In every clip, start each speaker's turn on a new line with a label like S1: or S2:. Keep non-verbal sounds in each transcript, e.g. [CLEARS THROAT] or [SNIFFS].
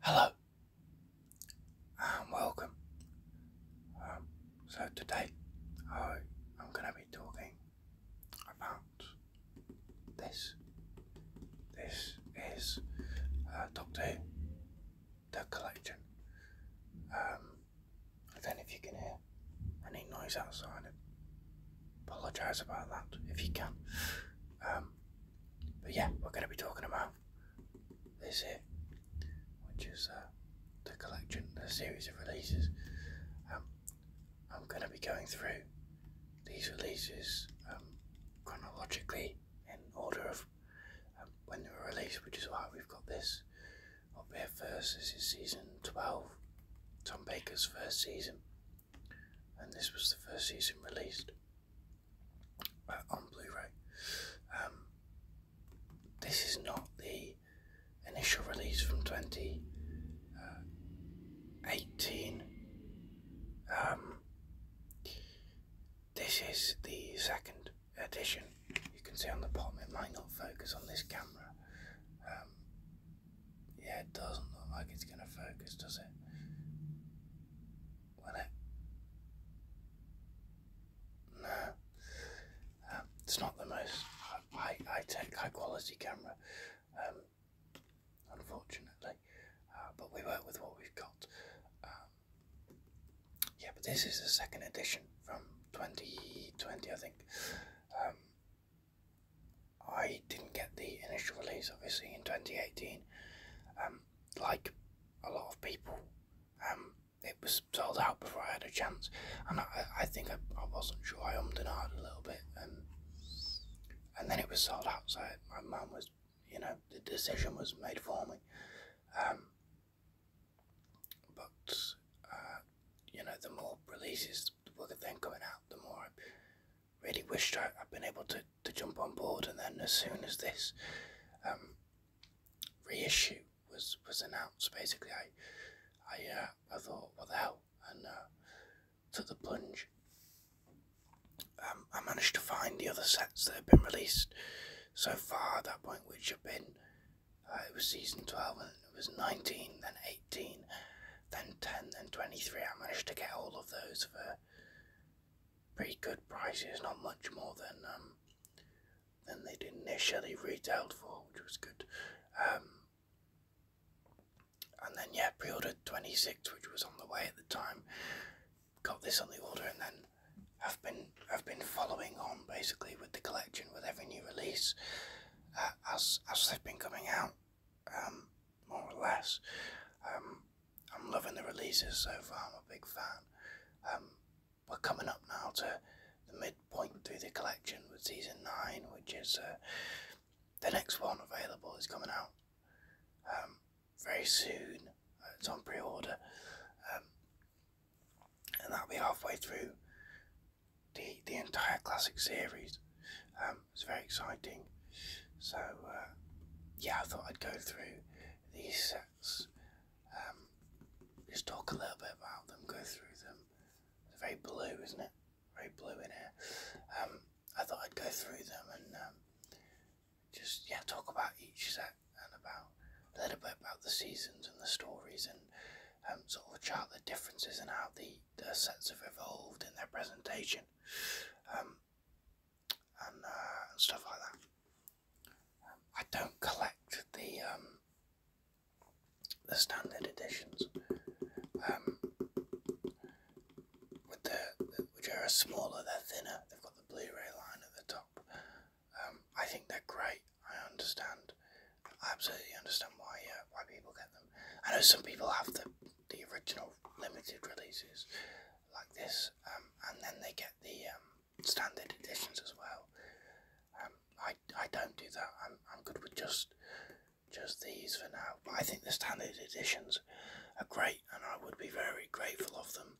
S1: Hello and um, welcome. Um, so today I, am going to be talking about this. This is uh, Doctor Who, the collection. Um, I don't know if you can hear any noise outside. apologise about that if you can. Um, but yeah, we're going to be talking about this here, which is uh, the collection, the series of releases. Um, I'm going to be going through these releases um, chronologically in order of um, when they were released, which is why we've got this up here first. This is season 12, Tom Baker's first season, and this was the first season released on Blu-ray. Um, this is not the initial release from 2018. Uh, um, this is the second edition. You can see on the bottom it might not focus on this camera. Um, yeah, it doesn't look like it's going to focus, does it? when it. No, um, it's not the most high, high tech, high quality camera, um, unfortunately. Uh, but we work with what we've got. Um, yeah, but this is the second edition from 2020, I think. I didn't get the initial release, obviously, in 2018 like a lot of people. Um, it was sold out before I had a chance, and I, I think I, I wasn't sure. I ummed and a little bit, and and then it was sold out. So my mum was, you know, the decision was made for me. Um, but uh, you know, the more releases were then coming out, the more I really wished I, I'd been able to to jump on board, and then as soon as this um, reissue was was announced, basically I I uh, I thought, what the hell, and uh, took the plunge. Um, I managed to find the other sets that have been released so far at that point, which have been uh, it was season twelve, and it was nineteen, then eighteen, then ten, then twenty-three. I managed to get all of those for pretty good prices, not much more than um, than they initially retailed for, which was good. Um, and then yeah, pre-ordered 26, which was on the way at the time. Got this on the order, and then have been have been following on basically with the collection with every new release uh, as as they've been coming out, um, more or less. Um, I'm loving the releases so far. I'm a big fan. Um, we're coming up now to the midpoint through the collection with season nine, which is uh, the next one available is coming out um, very soon. It's on pre-order, um, and that'll be halfway through the the entire classic series. it's very exciting. So uh, yeah, I thought I'd go through these sets. Um, just talk a little bit about them, go through them. It's very blue, isn't it? Very blue in here. Um, I thought I'd go through them and um, just yeah talk about each set and about a little bit about the seasons and the stories and sort of chart the differences and how the, the sets have evolved in their presentation. Uh, and, stuff like that. I don't collect the um, the standard editions, um, with the, which are smaller. They're thinner. They've got the Blu-ray line at the top. Um, I think they're great. I understand. I absolutely understand why uh, why people get them. I know some people have the the original limited releases like this, um, and then they get the um, standard editions as well. Um, I I don't do that. I'm I'm good with just just these for now. But I think the standard editions are great, and I would be very grateful of them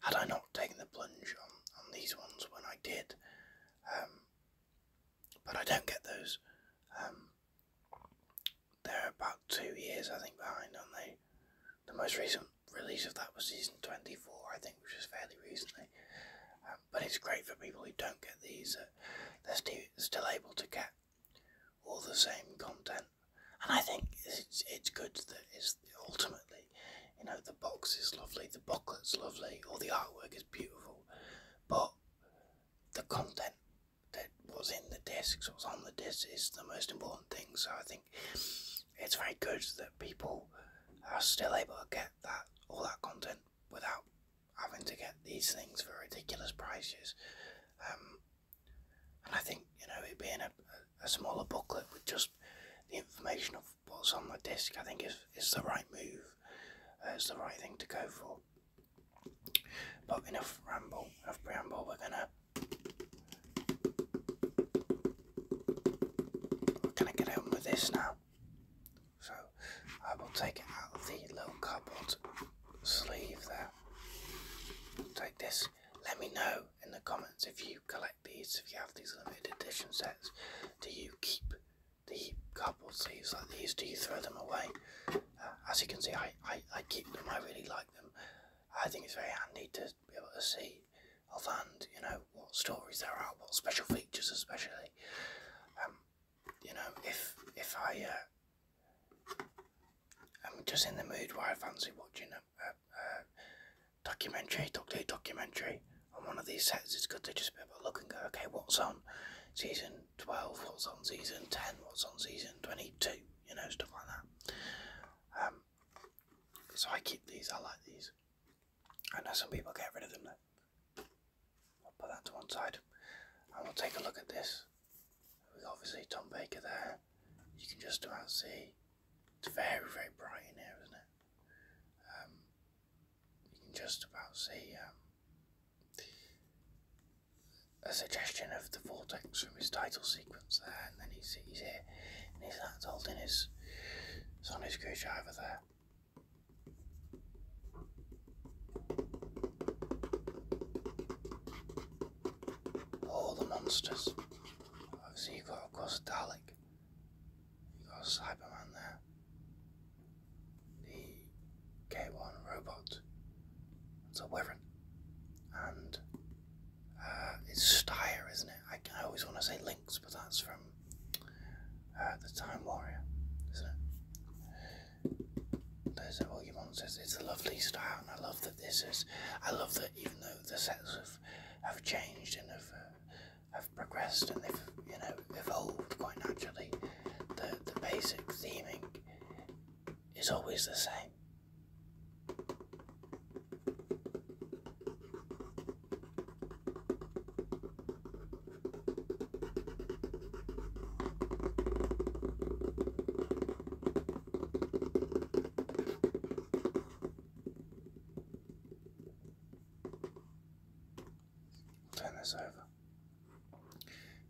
S1: had I not taken the plunge on on these ones when I did. but I don't get those. they're about two years, I think, behind on the the most recent release of that was season 24, I think, which was fairly recently. Um, but it's great for people who don't get these, uh, they're st still able to get all the same content. And I think it's, it's good that it's ultimately, you know, the box is lovely, the booklet's lovely, all the artwork is beautiful, but the content that was in the discs, what was on the discs, is the most important thing. So I think it's very good that people are still able to get that all that content without having to get these things for ridiculous prices. Um, and I think you know it being a, a smaller booklet with just the information of what's on the disc, I think is is the right move. Uh, it's the right thing to go for. But enough ramble, enough preamble. We're gonna can I get on with this now? So I will take it out of the little cardboard sleeve there. Take this. Let me know in the comments if you collect these, if you have these limited edition sets. Do you keep the cardboard sleeves like these? Do you throw them away? Uh, as you can see, I, I keep them. I really like them. I think it's very handy to be able to see offhand, you know, what stories there are, what special features especially. Um, you know, if if I am uh, just in the mood where I fancy watching a, a, a documentary, doctor documentary on one of these sets, it's good to just be able to look and go, okay, what's on season 12, what's on season 10, what's on season 22, you know, stuff like that. Um, so I keep these, I like these. I know some people get rid of them though. I'll put that to one side and we'll take a look at this. We've obviously Tom Baker there. You can just about see. It's very, very bright in here, isn't it? Um, you can just about see um, a suggestion of the vortex from his title scene there, and then he's, he's here, and he's that's holding his Sonic screwdriver there. All the monsters. Obviously, you've got, of course, Dalek. You've got Cyberman there. The K1 robot. It's a Wyvern. And uh, it's Steyr, isn't it? I, I always want to say Lynx, but that's from uh, the Time Warrior, isn't it? There's all your monsters. It's a lovely style, and I love that this is. I love that even though the sets have have changed and have uh, have progressed and they've you know evolved quite naturally, the the basic theming is always the same. Turn this over.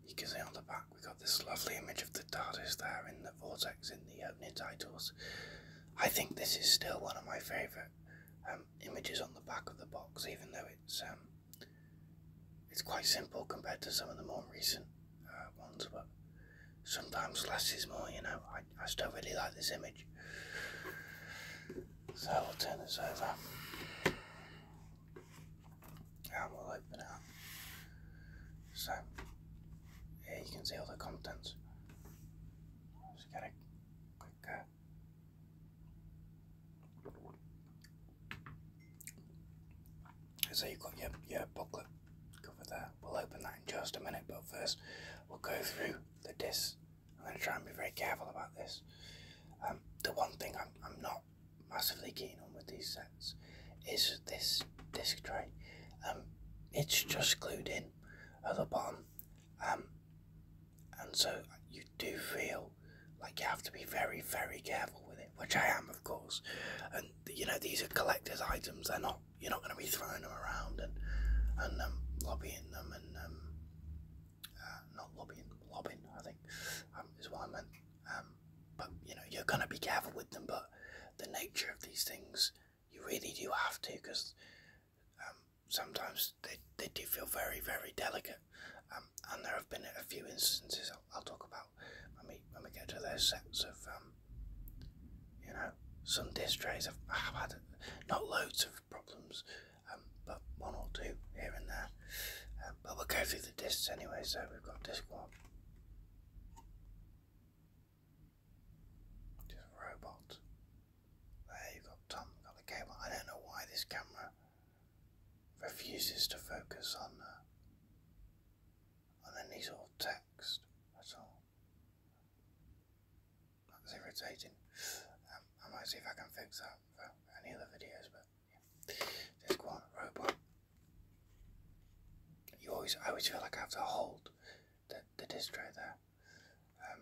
S1: You can see on the back we have got this lovely image of the TARDIS there in the. Vortex in the opening uh, titles. I think this is still one of my favourite um, images on the back of the box, even though it's um, it's quite simple compared to some of the more recent uh, ones. But sometimes less is more, you know. I, I still really like this image, so we'll turn this over and we'll open it up. So yeah, you can see all the contents. Just gotta click so you've got your, your booklet covered there. We'll open that in just a minute, but first we'll go through the disk i I'm going to try and be very careful about this. Um, the one thing I'm, I'm not massively keen on with these sets is this disc tray. Um, it's just glued in at the bottom. Um, and so you do feel like you have to be very, very careful with it, which I am, of course. And you know, these are collector's items; they're not you're not going to be throwing them around and and um, lobbying them and um, uh, not lobbying, lobbying. I think um, is what I meant. Um, but you know, you're going to be careful with them. But the nature of these things you really do have to because um, sometimes they, they do feel very, very delicate. Um, and there have been a few instances I'll, talk about when we, when we get to those sets of, um, you know, some dish trays. have have had not loads of problems, um, but one or two here and there. Um, but we'll go through the discs anyway, so we've got disc one. Just a robot. There you got Tom, got the cable. I don't know why this camera refuses to focus on uh, on any sort of text at all. That's irritating. Um, I might see if I can fix that for any other videos, but yeah. There's one robot. You always, I always feel like I have to hold the, the disc tray there. Um,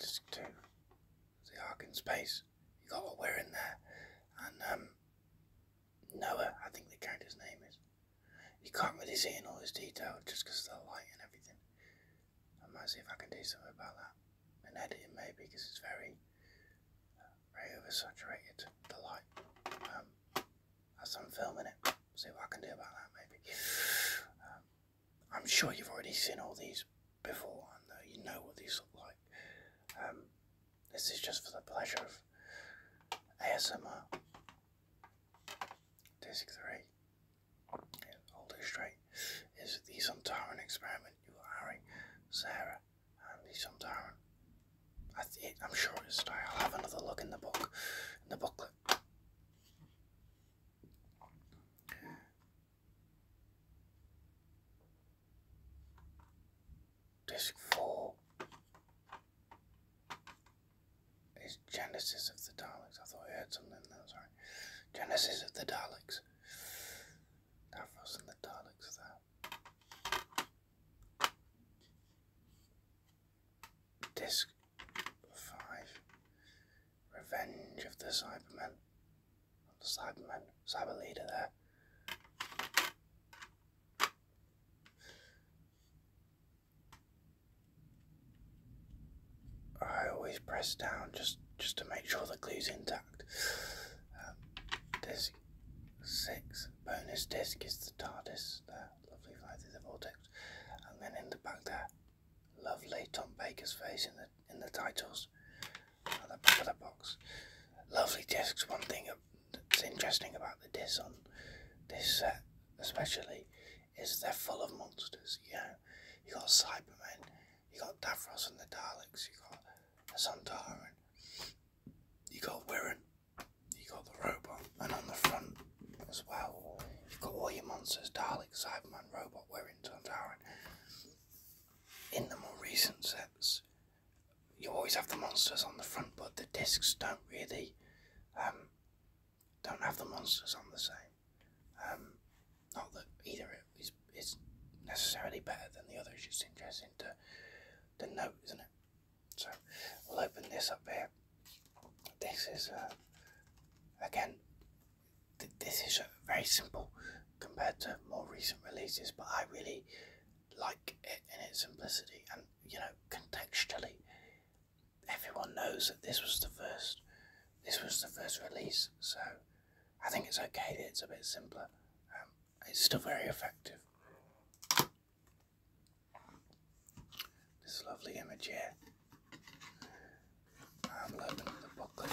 S1: just to the arc in space. You got what we're in there, and um, Noah, I think the character's name is. You can't really see in all this detail just because of the light and everything. I might see if I can do something about that and editing, maybe because it's very, uh, very oversaturated the light um, as I'm filming it see what I can do about that maybe. Um, I'm sure you've already seen all these before and uh, you know what these look like. Um, this is just for the pleasure of ASMR. Disc 3, hold it straight, is the Suntaran experiment. You got Harry, Sarah, and the Suntaran. I am sure it's. I'll have another look in the book, in the booklet. Disc 4 is Genesis of the Daleks. I thought I heard something there, sorry. Genesis of the Daleks. That was the Daleks, that. Disc 5 Revenge of the Cybermen. the Cybermen, Cyber Leader there. I always press down just just to make sure the glue's intact. Um, disc six bonus disc is the TARDIS there. Lovely flight through the vortex. And then in the back there, lovely Tom Baker's face in the in the titles at the back of the box. Lovely discs. One thing that's interesting about the discs on this set, especially, is they're full of monsters. You know, you got Cybermen, you got Davros and the Daleks, you got the Sundaran, you got Wirren, you got the robot, and on the front as well. You've got all your monsters, Dalek, Cyberman, Robot, We're In In the more recent sets, you always have the monsters on the front, but the discs don't really um, don't have the monsters on the same. Um, not that either is, is necessarily better than the other, it's just interesting to, to note, isn't it? So we'll open this up here. This is uh, again, this is uh, very simple compared to more recent releases, but I really like it in its simplicity and you know contextually. Everyone knows that this was the first, this was the first release, so I think it's okay that it's a bit simpler. Um, it's still very effective. This lovely image here. I'm loving the booklet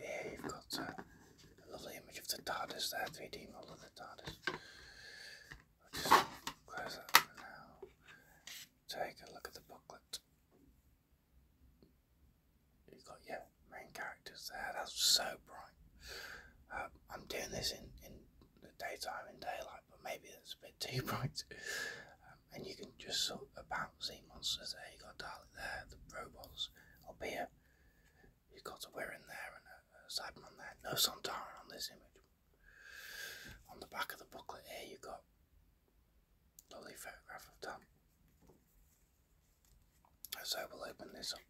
S1: Here you've got uh, a, lovely image of the TARDIS there, 3D model of the TARDIS. I'll just close that for now. Take a look at the booklet. You've got your main characters there. That's so bright. Uh, I'm doing this in, in the daytime and daylight, but maybe it's a bit [LAUGHS] too bright. Um, and you can just sort of about sea monsters there. You got Dalek there, the robots up here. You've got a we in there and a, a Cyberman there. No Sontaran on this image. On the back of the booklet here, you've got lovely photograph of Tom. So we'll open this up.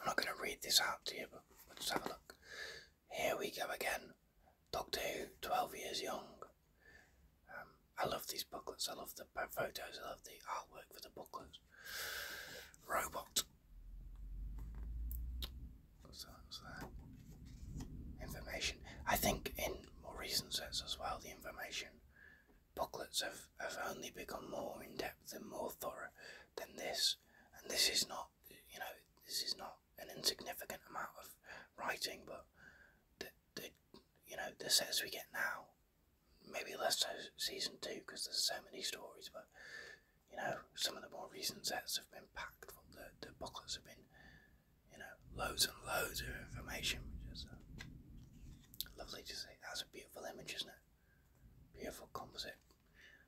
S1: I'm not going to read this out to you, but let's have a look. Here we go again. Doctor 12 years young. Um, I love these booklets, I love the photos, I love the artwork for the booklets. Robot. What's that? that? Information. I think in more recent sets as well, the information booklets have, have only become more in depth and more thorough than this. And this is not, you know, this is not an insignificant amount of writing, but the, the you know the sets we get now, maybe less so season two because there's so many stories, but you know some of the more recent sets have been packed. The the booklets have been you know loads and loads of information, which is uh, lovely to see. That's a beautiful image, isn't it? Beautiful composite.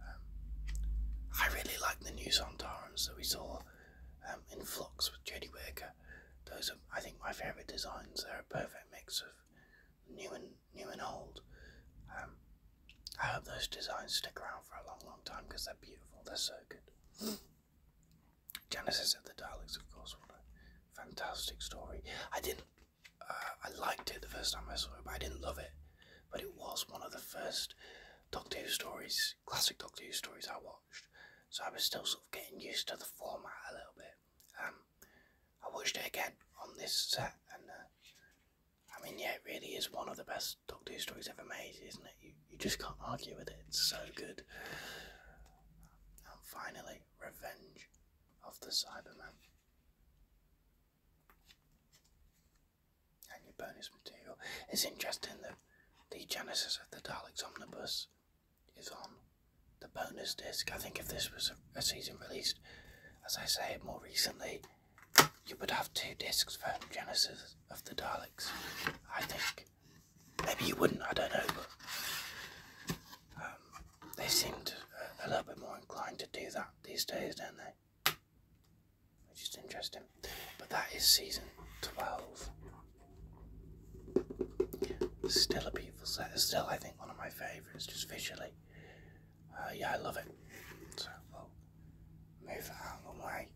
S1: Um, I really like the new Santarums that we saw um, in Flux with Jodie Whittaker. Those are, I think, my favourite designs. They're a perfect mix of new and new and old. Um, I hope those designs stick around for a long, long time because they're beautiful. They're so good. [GASPS] Genesis of the Daleks, of course. What a fantastic story. I didn't. Uh, I liked it the first time I saw it, but I didn't love it. But it was one of the first Doctor Who stories, classic Doctor Who stories I watched, so I was still sort of getting used to the format a little bit. Um, I watched it again on this set, and uh, I mean, yeah, it really is one of the best Doctor Who stories ever made, isn't it? You, you just can't argue with it, it's so good. And finally, Revenge of the Cyberman and your bonus material. It's interesting that the Genesis of the Daleks Omnibus is on the bonus disc. I think if this was a, season released, as I say more recently, you would have two discs for Genesis of the Daleks. I think. Maybe you wouldn't, I don't know, um, they seem a little bit more inclined to do that these days, don't they? which is interesting. But that is season 12. Still a beautiful set. Still, I think, one of my favourites, just visually. Uh, yeah, I love it. So we'll move it out the way.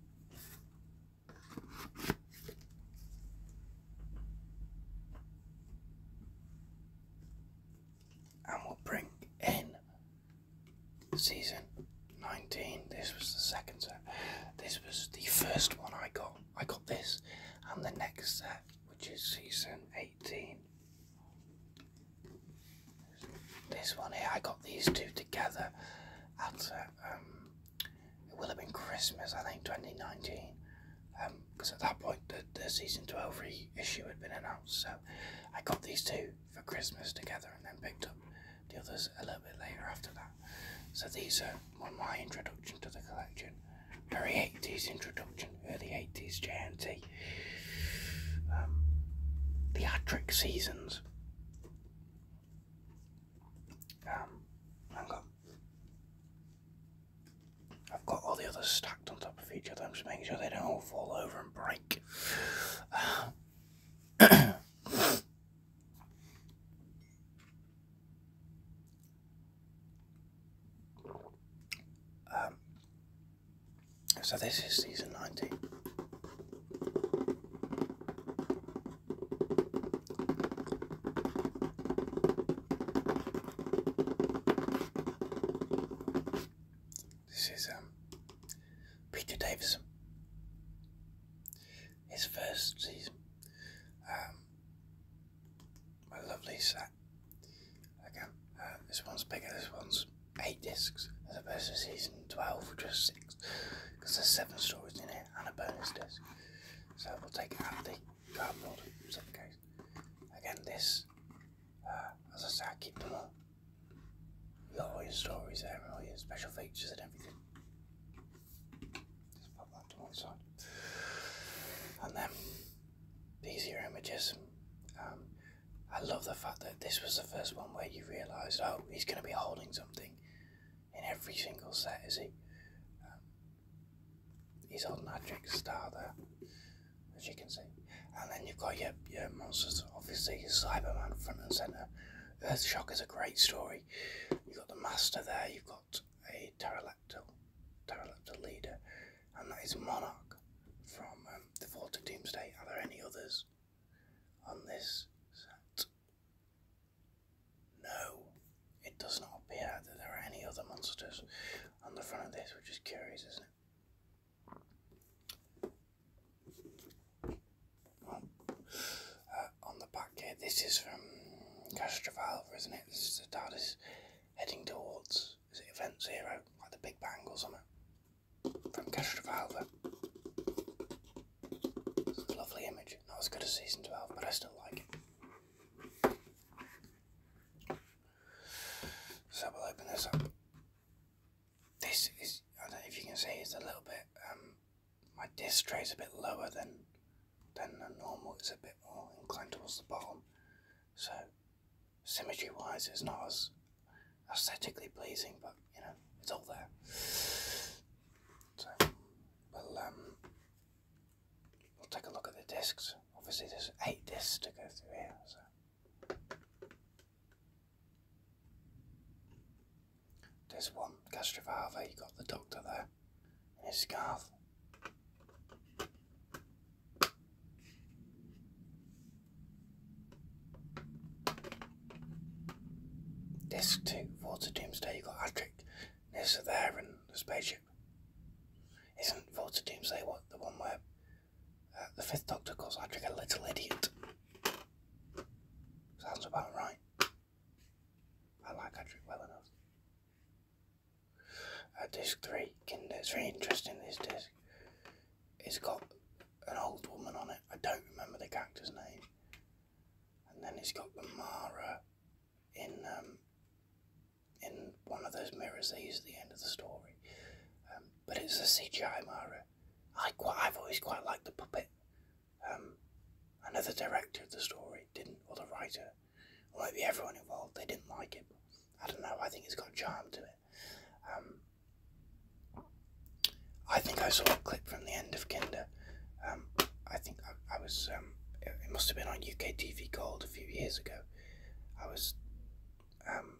S1: And we'll bring in season 19. This was the second set. This was the first one I got. I got this, and the next set, which is season 18. This one here, I got these two together at um, it will have been Christmas, I think, 2019. Because um, at that point, the, the season 12 reissue had been announced, so I got these two for Christmas together and then picked up the others a little bit later after that. So these are my introduction to the collection. Very 80s introduction, early 80s JNT. the theatric seasons. I've um, got, I've got all the others stacked on top of each other. I'm just making sure they don't all fall over and break. [COUGHS] [COUGHS] Um, so this is season 19. This is um, Peter Davison his first season. my um, lovely set. Again, um, this one's bigger, this one's eight discs as opposed to season 12, which was six, because there's seven stories in it and a bonus disc. So we'll take it out of the cardboard suitcase. Again, this, uh, as I say, I keep them all all your stories, there, all your special features, and everything. Just pop that to one side. And then these are your images. Um, I love the fact that this was the first one where you realised, oh, he's going to be holding something in every single set, is he? Um, he's holding that Drake Star there, as you can see. And then you've got your, your monsters, obviously, your Cyberman front and centre. Shock is a great story. You've got the Master there, you've got a Pterodactyl, Pterodactyl leader, and that is Monarch from um, the Vault of Doomsday. Are there any others on this set? No, it does not appear that there are any other monsters on the front of this, which is curious, isn't it? Uh, on the back here, this is from Castrovalva, isn't it? This is the TARDIS heading towards, is it Event Zero, like the Big Bang or something? From Castrovalva. lovely image. Not was good as Season 12, but I still like it. So we'll open this up this is, I don't know if you can see, it's a little bit, um, my disc tray is a bit lower than, than the normal, it's a bit more inclined towards the bottom. So, symmetry wise, it's not as aesthetically pleasing, but you know, it's all there. So, we'll, um, we'll take a look at the discs. Obviously, there's eight discs to go through here, so. There's one gastrovava, you got the doctor there in his scarf. This two Volta Doomsday, you got Adric Nissa there and the spaceship. Isn't Volta Doomsday what the one where uh, the fifth doctor calls Adric a little idiot? Sounds about right. I like Adric well enough. Uh, disc 3, Kinder. It's very interesting, this disc. It's got an old woman on it. I don't remember the character's name. And then it's got the Mara in um, in one of those mirrors they use at the end of the story. Um, but it's a CGI Mara. I quite, I've always quite liked the puppet. Um, another director of the story didn't, or the writer, or maybe everyone involved, they didn't like it. I don't know, I think it's got charm to it. Um, I think I saw a clip from the end of Kinder. Um, I think I, was, um, it, must have been on UK TV called a few years ago. I was um,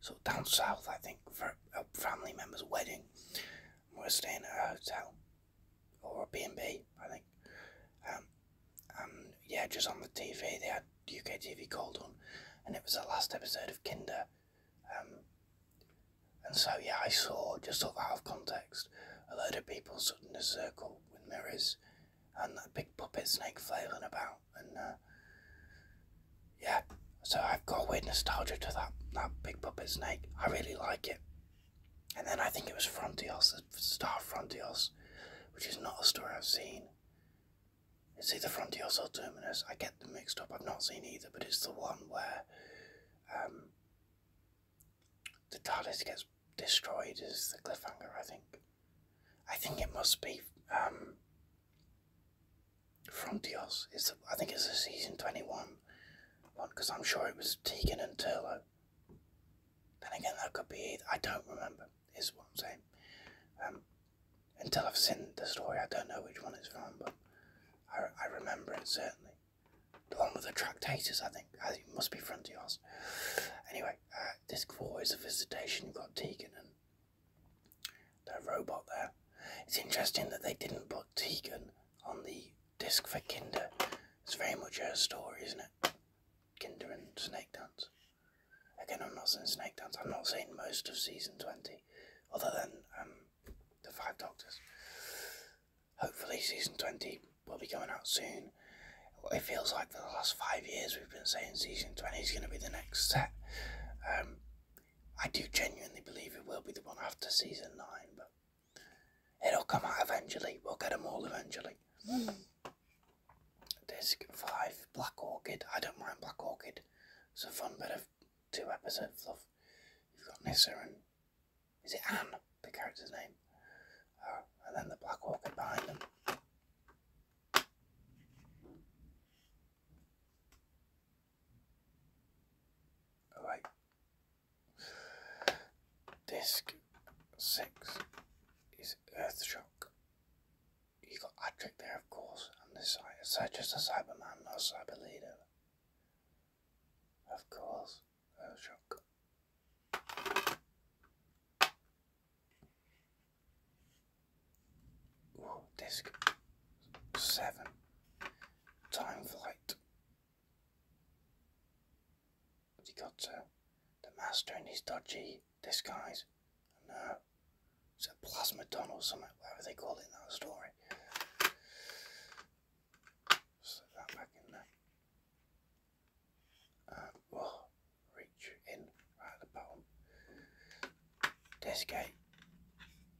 S1: sort of down south, I think, for a family member's wedding we're staying at a hotel or a B&B, I think. Um, and yeah, just on the TV, they had UK TV called on, and it was the last episode of Kinder. Um, and so yeah, I saw just off out of context a load of people sitting in a circle with mirrors and a big puppet snake flailing about, and uh, yeah, so I've got weird nostalgia to that that big puppet snake. I really like it. And then I think it was Frontios, Star Frontios, which is not a story I've seen. It's either Frontios or Terminus. I get them mixed up. I've not seen either, but it's the one where um, the TARDIS gets destroyed is the cliffhanger, I think. I think it must be um, Frontios. It's I think it's a season twenty one one because I'm sure it was Tegan and Turlo. Then again, that could be I don't remember. Is what I'm saying. Um, until I've seen the story, I don't know which one it's from, but I, I remember it certainly. The one with the tractators, I think. I think it must be Frontios. Anyway, uh, this four is a visitation. You've got Tegan and the robot there. It's interesting that they didn't put Tegan on the disc for Kinder. It's very much her story, isn't it? Kinder and Snake Dance. Again, I'm not saying Snake Dance. I'm not saying most of season 20, other than um, the Five Doctors. Hopefully, season 20 will be going out soon. It feels like for the last five years we've been saying season 20 is going to be the next set. Um, I do genuinely believe it will be the one after season 9, but It'll come out eventually. We'll get them all eventually. Mm. Disc 5 Black Orchid. I don't mind Black Orchid. It's a fun bit of two episode fluff. You've got Nissa and. Is it Anne? The character's name. Uh, and then the Black Orchid behind them. Alright. Disc six is Earthshock. You got Adric there, of course, and this is just a Cyberman, not a Of course, Earthshock. Ooh, disc seven. Time flight. He got uh, the master in his dodgy disguise. And now it's a plasmodon or something, whatever they call it in that story. Slip that back in there. And reach in right at the bottom. Disc 8.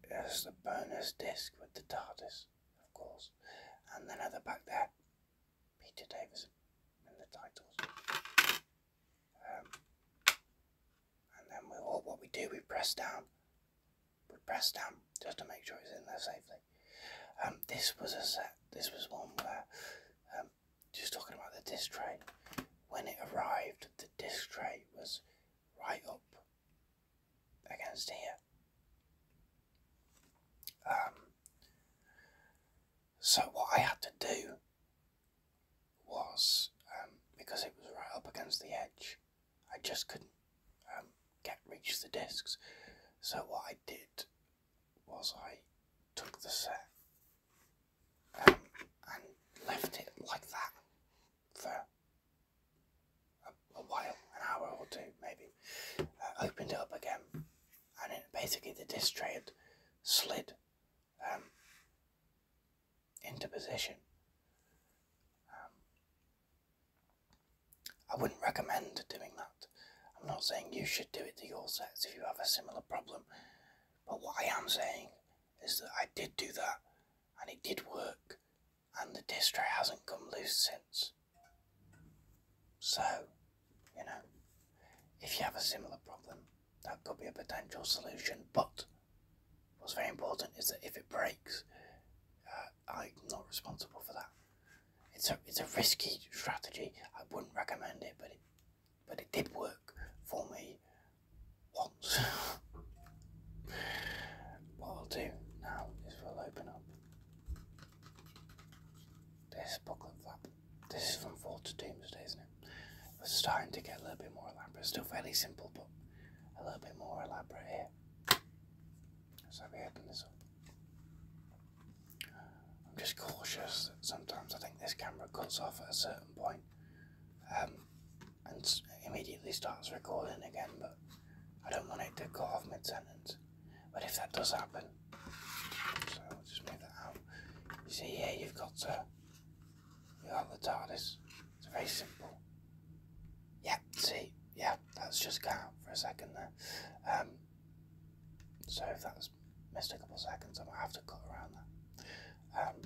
S1: There's the bonus disc with the TARDIS of course. And then at the back there, Peter Davis and the titles. Um, and then we all, what we do, we press down. We press down just to make sure it's in there safely. Um, this was a set. This was one where, um, just talking about the disc tray. When it arrived, the disc tray was right up against here. Um, so what I had to do was um, because it was right up against the edge, I just couldn't um, get reach the discs. So what I did was I took the set and left it like that for a, while, an hour or two maybe, uh, opened up again, and it, basically the disc tray had slid um, into position. Um, I wouldn't recommend doing that. I'm not saying you should do it to your sets if you have a similar problem, but what I am saying is that I did do that and it did work and the distro hasn't come loose since. So, you know, if you have a similar problem, that could be a potential solution. But what's very important is that if it breaks, uh, I'm not responsible for that. It's a it's a risky strategy. I wouldn't recommend it, but it but it did work for me once. [LAUGHS] what I'll do now is we'll open up. This booklet flap. This is from Fall to Doomsday, isn't it? It's starting to get a little bit more elaborate. Still fairly simple, but a little bit more elaborate here. So we open this up. I'm just cautious sometimes I think this camera cuts off at a certain um, and immediately starts recording again. I don't want it to cut off my tenant. But if that does happen, so I'll just move that out. You see here, you've got uh, you got the TARDIS. It's very simple. Yeah, see, yeah, that's just gone for a second there. Um, so if that's missed a couple of seconds, I might have to cut around that. Um,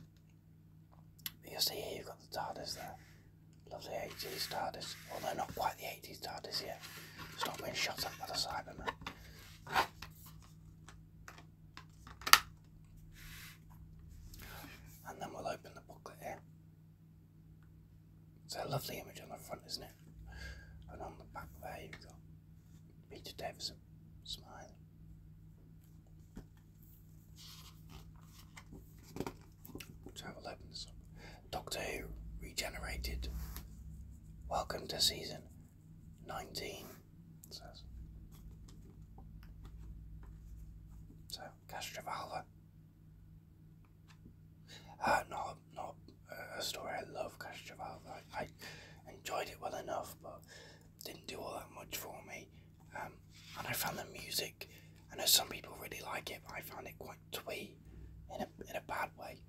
S1: but you see here, you've got the TARDIS there. Lovely 80s TARDIS. Although not quite the 80s TARDIS yet. Stop being shot up by the Cyberman. And then we'll open the booklet here. It's a lovely image on the front, isn't it? And on the back there you've got Peter Davison smiling. Channel 11. Doctor Who Regenerated. Welcome to season 19. So, Castrovalva. Uh, not not a story I love, Castrovalva. I, I enjoyed it well enough, but didn't do all that much for me. Um, and I found the music. I know some people really like it, but I found it quite like twee in a in a bad way.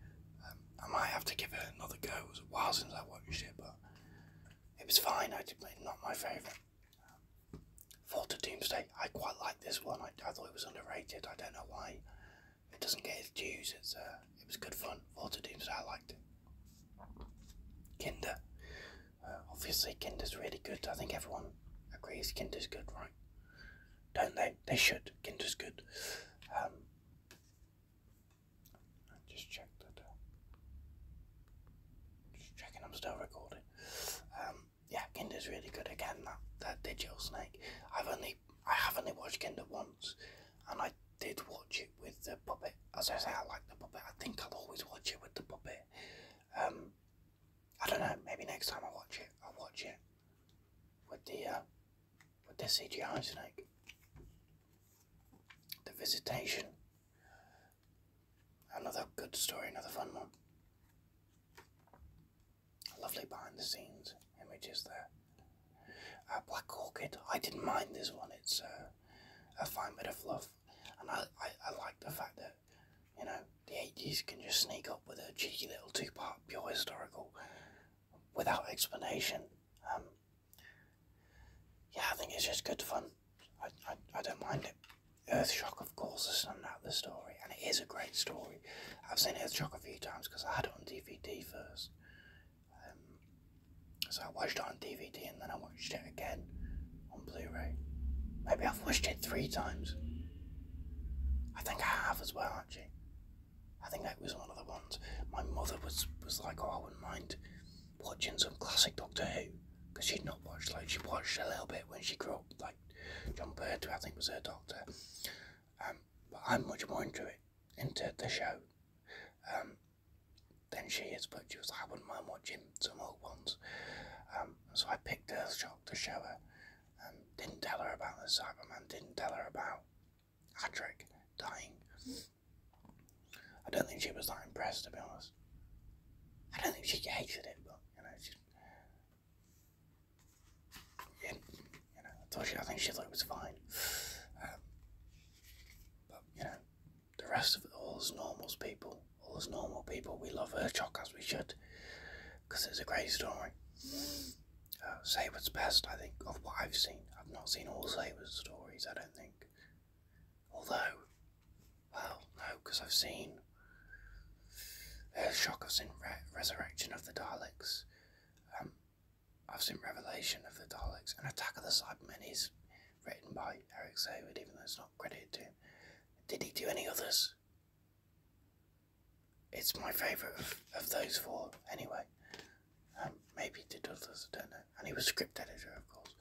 S1: Um, I might have to give it another go. It was a while since I watched it, but it was fine. I did not my favourite. Um, Fall to Doomsday. I quite like this one. I, I thought it was underrated. I don't know why it doesn't get its dues. It's uh, it was good fun. Fall to Doomsday. I liked it. Kinder. Uh, obviously, Kinder's really good. I think everyone agrees Kinder's good, right? don't they? They should. Kinder's good. Um, just check that uh, checking I'm still recording. Um, yeah, Kinder's really good again. That that digital snake. I've only I have only watched Kinder once, and I did watch it with the puppet. As I say, I like the puppet. I think I'll always watch it with the puppet. Um, I don't know. Maybe next time I watch it, I'll watch it with the uh, with the CGI snake. The Visitation. Another good story, another fun one. Lovely behind the scenes images there. A Black Orchid. I didn't mind this one. It's uh, a fine bit of fluff, and I, I like the fact that you know, the 80s can just sneak up with a cheeky little two part pure historical without explanation. Um, yeah, I think it's just good fun. I, I, I don't mind it. Earthshock, of course, is not out the story, and it is a great story. I've seen Earthshock a few times because I had it on DVD first. Um, so I watched it on DVD and then I watched it again on Blu ray. Maybe I've watched it three times. I think I have as well. I think that was one of the ones. My mother was was like, oh, I wouldn't mind watching some classic Doctor Who, because she'd not watched like she watched a little bit when she grew up, like John Pertwee, I think was her doctor. Um, but I'm much more into it, into the show, um, than she is. But she was like, I wouldn't mind watching some old ones. Um, so I picked a Earthshock to show her, um, didn't tell her about the Cyberman, didn't tell her about Adric dying. I don't think she was that impressed, to be honest. I don't think she hated it, but, you know, Yeah, you know, I, told she, I think she thought it was fine. Um, but, you know, the rest of it, all as normal people, all as normal people, we love her as we should, because it's a great story uh, best, I think, of what I've seen. I've not seen all Saber's stories, I don't think. Although, well, no, because I've seen uh, shockers I've seen Resurrection of the Daleks, um, I've seen Revelation of the Daleks, and Attack of the Cybermen is written by Eric Saber, even though it's not credited to him. Did he do any others? it's my favourite of, those four, anyway. Um, maybe did others, I don't know. And he was script editor, of course.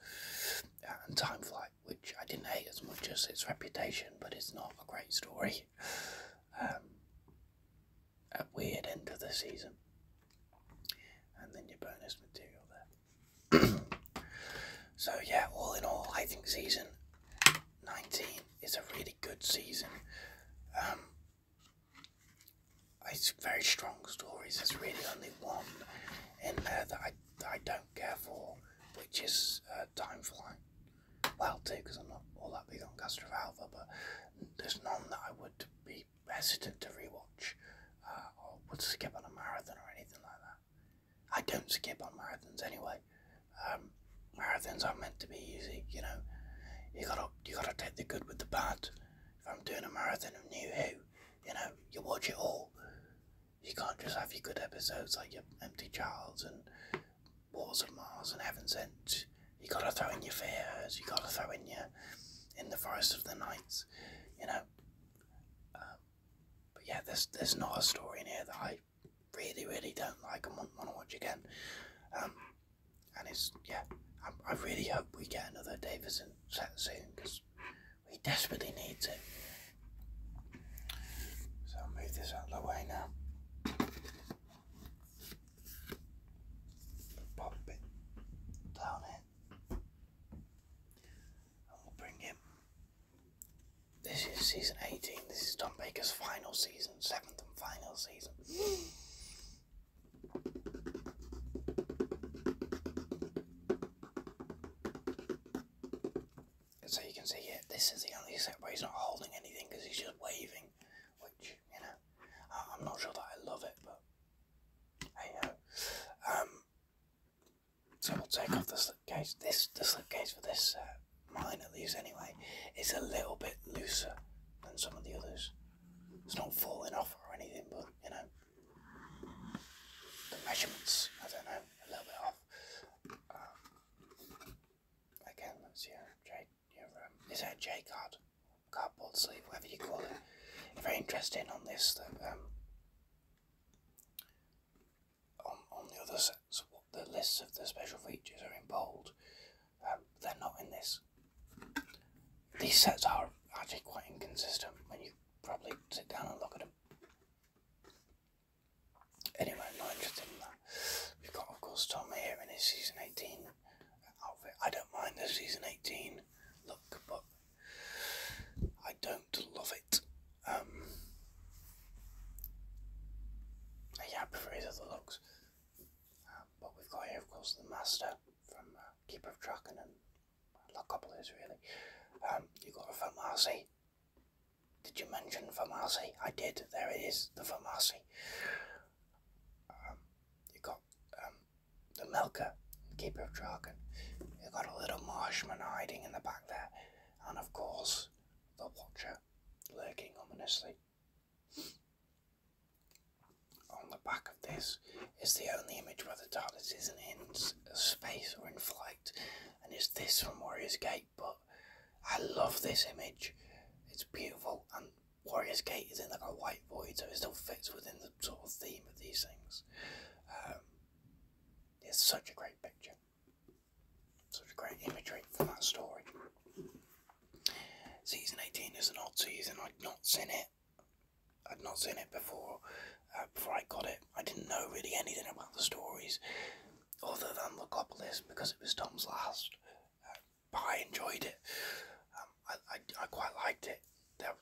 S1: Uh, and Time Flight, which I didn't hate as much as its reputation, but it's not a great story. Um, a weird end of the season. And then your bonus material there. [CLEARS THROAT] so, yeah, all in all, I think season 19 it's a really good season. Um, it's very strong stories. There's really only one in there that I, I don't care for, which is uh, Time Flying. Well, too, because I'm not all that big on Castor Alpha, but there's none that I would be hesitant to rewatch uh, or would skip on a marathon or anything like that. I don't skip on marathons anyway. Um, marathons aren't meant to be easy, you know. You gotta you gotta take the good with the bad. If I'm doing a marathon of New Who, you know, you watch it all. You can't just have your good episodes like your Empty Charles and Wars of Mars and Heaven Sent. You gotta throw in your fears. You gotta throw in your in the Forest of the Nights. You know. Uh, but yeah, there's there's not a story in here that I really, really don't like and want to watch again. Um, and it's, yeah, I, really hope we get another Davison set soon because we desperately need it. So I'll move this out of the way now. Pop it down here. And we'll bring him. This is season 18. This is Tom Baker's final season, so you can see it. This is the only set where he's not holding anything because he's just waving, which you know, I, am not sure that I love it, but hey ho. Uh, um, so we'll take off the slipcase. This the slipcase for this set mine at least anyway, is a little bit looser than some of the others. It's not falling off or anything, but you know, the measurements, I don't know, a little bit off. Um, let's your, J, your um, is that a J card? Cardboard sleeve, whatever you call it. Very interesting on this um, on, on the other sets, the lists of the special features are in bold, they're not in this. These sets are actually quite inconsistent when you probably sit down and look at them. Anyway, i not interested in that. We've got, of course, Tom here in his season 18 outfit. I don't mind the season 18 look, but I don't love it. Um, yeah, I prefer other looks. Um, but we've got here, of course, the master from uh, Keeper of Track and a Couple is really. Um, you got a Famasi. Did you mention Famasi? I did. There it is, the Famasi. Um, you got um, the Melka, Keeper of Dragon. You have got a little marshman hiding in the back there, and of course the Watcher lurking ominously. On the back of this is the only image where the TARDIS isn't in space or in flight, and it's this from Warrior's Gate. But I love this image, it's beautiful, and Warrior's Gate is in like a white void, so it still fits within the sort of theme of these things. Um, it's such a great picture, such a great imagery for that story. Season 18 is an odd season. I'd not seen it. I'd not seen it before. Uh, before I got it, I didn't know really anything about the stories, other than the Logopolis because it was Tom's last. Uh, but I enjoyed it. Um, I, I, quite liked it.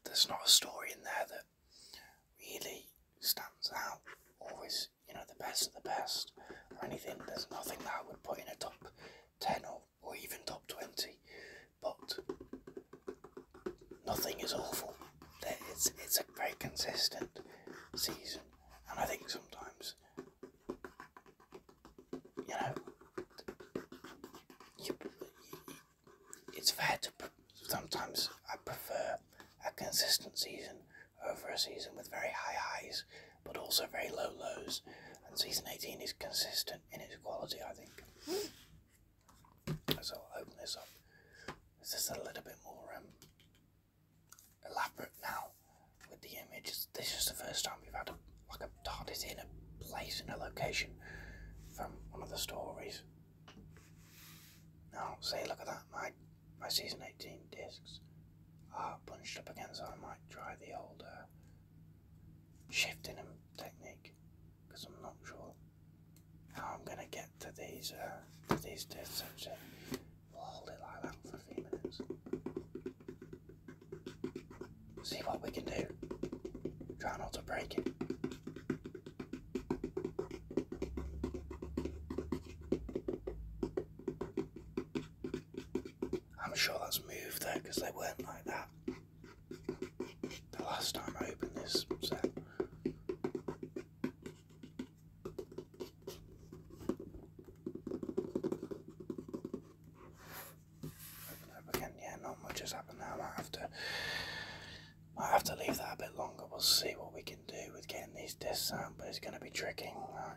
S1: there's not a story in there that really stands out. Always, you know, the best of the best or anything. There's nothing that I would put in a top 10 or, or even top 20, but nothing is awful. It's, it's a very consistent season, and I think sometimes, you know, it's fair to sometimes I prefer a consistent season over a season with very high highs but also very low lows. And season 18 is consistent in its quality, I think. So I'll open this up. This is a little bit more um, elaborate now with the images. This is the first time we've had a, like a TARDIS in a place, in a location from one of the stories. Now, say, look at that, my, my season 18 discs uh, ah, bunched up again, so I might try the older uh, shifting them technique because I'm not sure how I'm gonna get to these uh, to these discs. So we'll hold it like that for a few minutes. See what we can do. Try not to break it. I'm sure that's moved though because they weren't like that the last time I opened this set. Open up again, yeah, not much has happened now. I might have to might have to leave that a bit longer. We'll see what we can do with getting these discs out, but it's gonna be tricky. Right.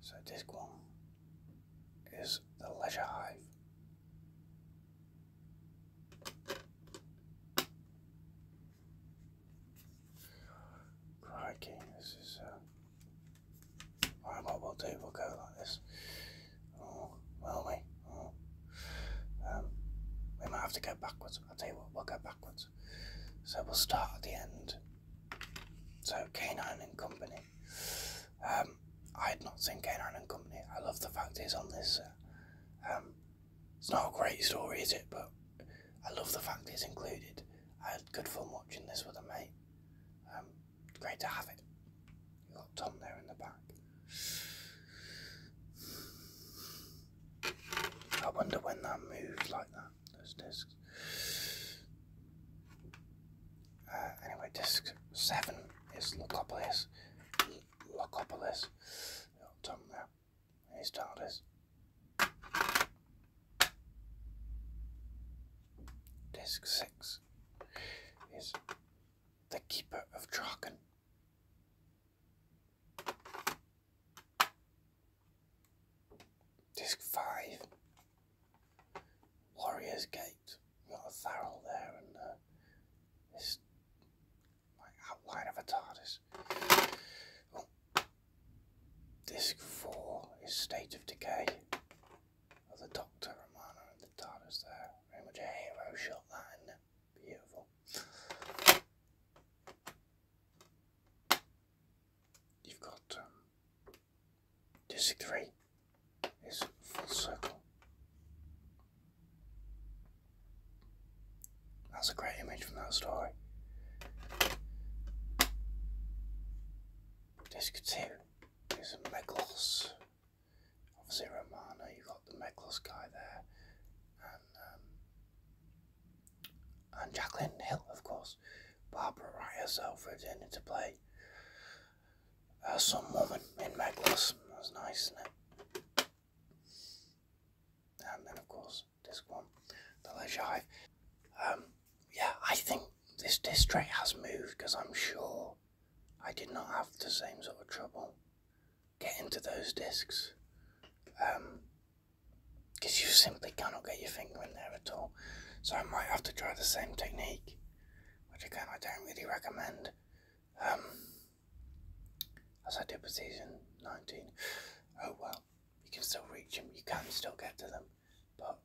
S1: So this one is the leisure hive. Crikey, this is. Uh, right, what we'll do, we'll go like this. Oh, will we? Oh. Um, we might have to go backwards. I'll tell you what, we'll go backwards. So we'll start at the end. So Canine and Company. Um, I had not seen Canine and Company. I love the fact it's on this. Uh, um, it's not a great story, is it? But I love the fact it's included. I had good fun watching this with a mate. Um, great to have it. You got Tom there in the back. I wonder when that moved like that those discs. Uh, anyway, disc seven is Locopolis. Locopolis. Tom there. And he started this. Disc six is the Keeper of Draken. Disc 5. Warriors Gate. We've got a Tharel there and uh, this like, outline of a TARDIS. Disc 4 is State of Decay. Of the Doctor, Romana, and the TARDIS there. Very much a hero shot, line? Beautiful you've got um, 3 is full circle. That's a great image from that story. District 2 is a Meglos. Obviously Romana, you've got the Meglos guy there. Um, and Jacqueline Hill, of course. Barbara Wright herself returned to play uh, some woman in Meg That's nice, isn't it? And then, of course, this one, The Leisure Hive. Um, yeah, I think this district has moved because I'm sure I did not have the same sort of trouble getting to those discs. Um, because you simply cannot get your finger in there at all. So I might have to try the same technique, which again I don't really recommend, um, as I did with season 19. Oh well, you can still reach them, you can still get to them, but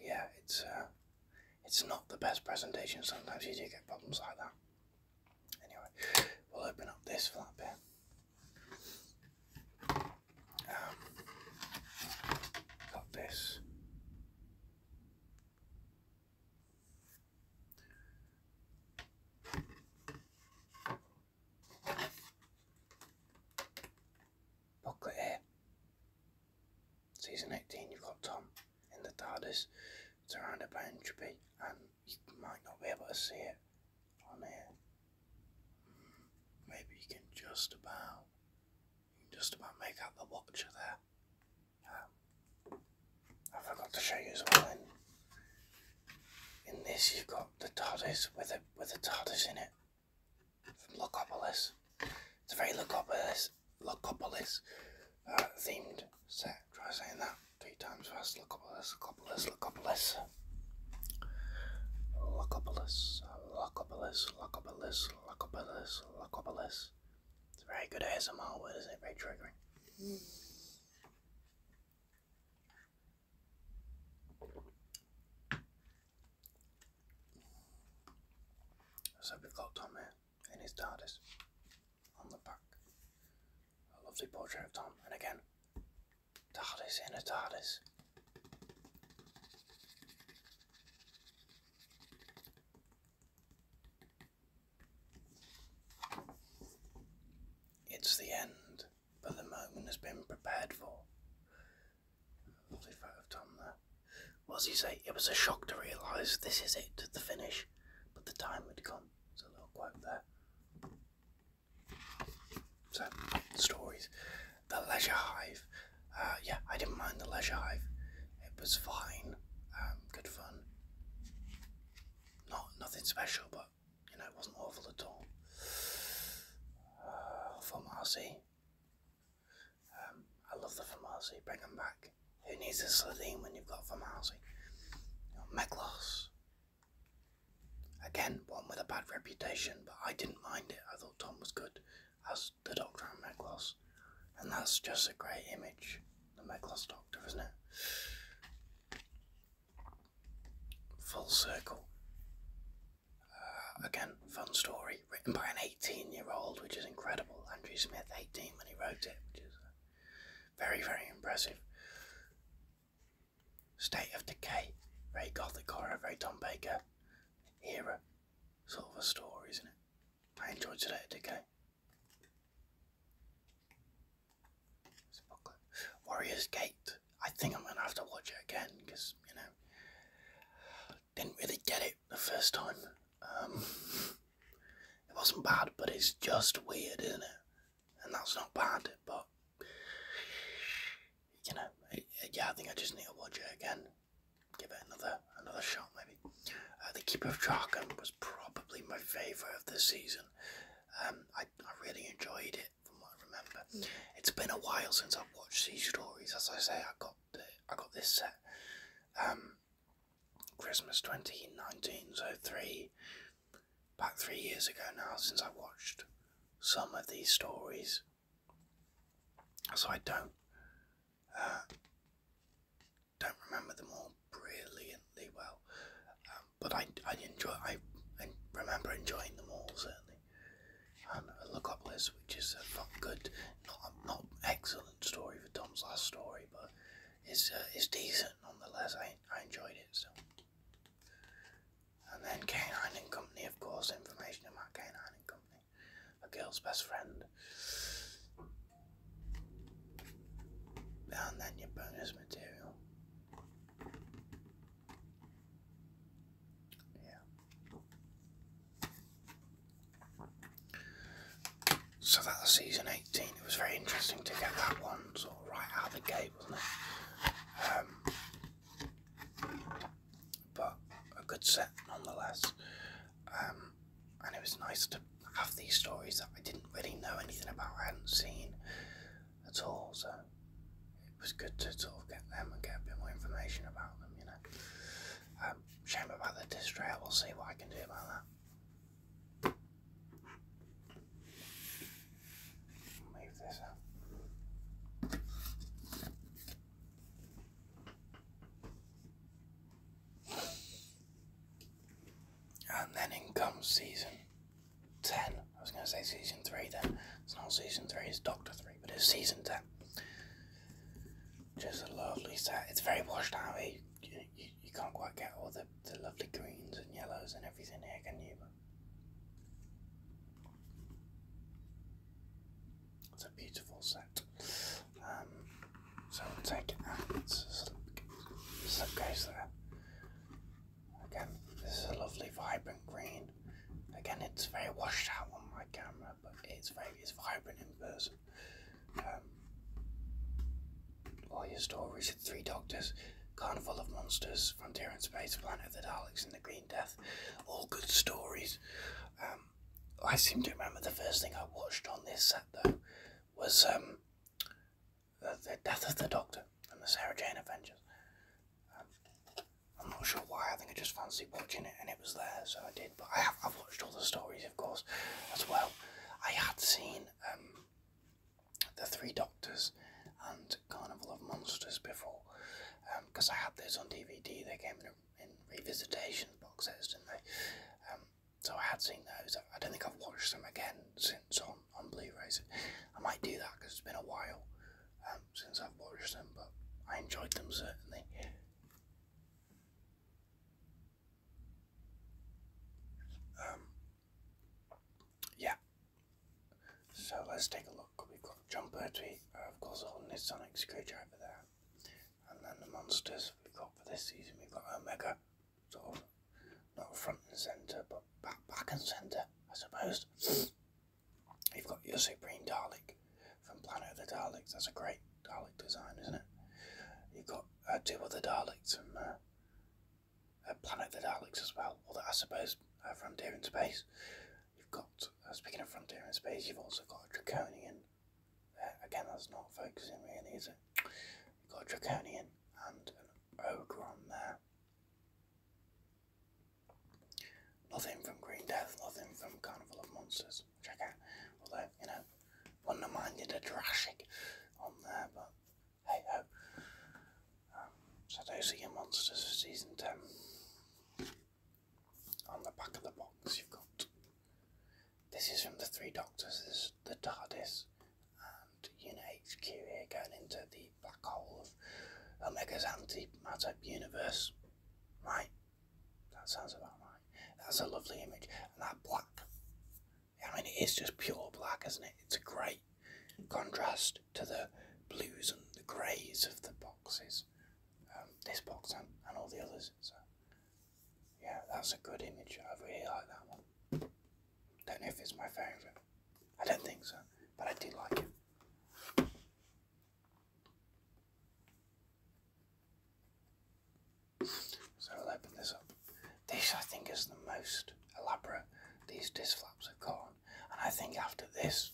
S1: yeah, it's uh, it's not the best presentation. Sometimes you do get problems like that. Anyway, we'll open up this flap here. Um, got this. Booklet here. Season 18, you've got Tom in the TARDIS, surrounded by entropy, and you might not be able to see it I mean, maybe you can just about, just about make out the watcher there. Um, I forgot to show you as well. In, this, you've got the TARDIS with a with a TARDIS in it from It's a very Locopolis Locopolis uh, themed set. Try saying that three times fast. Locopolis, Locopolis, Locopolis. Locopolis, Locopolis, Locopolis, Locopolis, Locopolis. It's a very good ASMR a isn't it? Very triggering. Mm. So we've got Tom here in his TARDIS on the back. A lovely portrait of Tom, and again, TARDIS in a TARDIS. It's the end, but the moment has been prepared for. Lovely photo of Tom there. What does he say? It was a shock to realise this is it, the finish, but the time had come. There's a little quote there. So, stories the Leisure Hive. Uh, yeah, I didn't mind the Leisure Hive. It was fine. Um, good fun. Not nothing special, but you know it wasn't awful at all. Uh, from um, I love the from Bring them back. Who needs a Slitheen when you've got from RC? Again, one with a bad reputation, but I didn't mind it. I thought Tom was good as the Doctor and Meglos, and that's just a great image. The Meglos Doctor, isn't it? Full circle. Uh, again, fun story written by an 18 year old, which is incredible. Andrew Smith, 18 when he wrote it, which is uh, very, very impressive. State of Decay, very gothic horror, very Tom Baker era sort of a story, isn't it? I enjoyed today at Warriors Gate. I think I'm gonna have to watch it again because you know didn't really get it the first time. Um, [LAUGHS] it wasn't bad, but it's just weird, isn't it? And that's not bad, but you know, yeah, I think I just need to watch it again. Give it another another shot, maybe. Uh, the Keeper of Draken was probably my favourite of the season. Um, I, I really enjoyed it, from what I remember. Mm. It's been a while since I've watched these stories. As I say, I got the, I got this set um, Christmas 2019, so three about three years ago now since I watched some of these stories so I don't uh, don't remember them all brilliantly well, um, but I I enjoy I remember enjoying them all certainly. And Logopolis, which is a not good, not not excellent story for Tom's last story, but it's uh, decent nonetheless. I I enjoyed it so. And then Canine and Company, of course, information about Canine and Company. A girl's best friend. And then your bonus material. Yeah. So that's season 18. It was very interesting to get that one sort of right out of the gate, wasn't it? Um, but a good set nonetheless. Um, and it was nice to have these stories that I didn't really know anything about, I hadn't seen at all, so it was good to sort of get them and get a bit more information about them, you know. Um, shame about the disc we'll see what I can do about that. Move this up. And then in comes season 10. I was going to say season 3 then. It's not season 3, it's Doctor 3, but it's season 10. Just a lovely set. It's very washed out. Eh? You, you, can't quite get all the, the lovely greens and yellows and everything here, can you? It's a beautiful set. Um, so we'll take it out. It's a slipcase there. Again, this is a lovely vibrant green. Again, it's very washed out on my camera, but it's very it's vibrant in person. Um, all your stories, Three Doctors, Carnival of Monsters, Frontier in Space, Planet of the Daleks, and the Green Death. All good stories. Um, I seem to remember the first thing I watched on this set though was um, the, Death of the Doctor and the Sarah Jane Avengers. Um, I'm not sure why. I think I just fancied watching it, and it was there, so I did. But I have watched all the stories, of course, as well. I had seen um, the Three Doctors and Carnival of Monsters before because I had those on DVD. They came in a in revisitation boxes, didn't they? Um, so I had seen those. I don't think I've watched them again since on, on Blu-rays. I might do that because it's been a while um, since I've watched them, but I enjoyed them certainly. Um, yeah. So let's take a look. We've got John Pertwee, uh, of course, holding his sonic screwdriver there. And then the monsters we've got for this season, we've got Omega, sort of not front and centre, but back, back and centre, I suppose. You've [SNIFFS] got your Supreme Dalek from Planet of the Daleks. That's a great Dalek design, isn't it? You've got uh, two other Daleks from uh, uh, Planet of the Daleks as well, although I suppose from Frontier in Space. You've got speaking of frontier and space, you've also got a draconian. Uh, again, that's not focusing really, is it? You've got a draconian and an ogre on there. Nothing from Green Death, nothing from Carnival of Monsters. Check out, although you know, wonder minded a Jurassic on there, but hey ho. so those are your monsters for season ten. On the back of the box, you've got this is from the Three Doctors, the TARDIS, and Unit HQ going into the black hole of Omega's antimatter universe. Right, that sounds about right. That's a lovely image, and that black. I mean, it is just pure black, isn't it? It's a great contrast to the blues and the greys of the boxes. Um, this box and, and all the others. So yeah, that's a good image. over here, like that one. Don't know if it's my phone. I don't think so, but I do like it. So I'll open this up. This I think is the most elaborate these disflaps flaps have gone, and I think after this,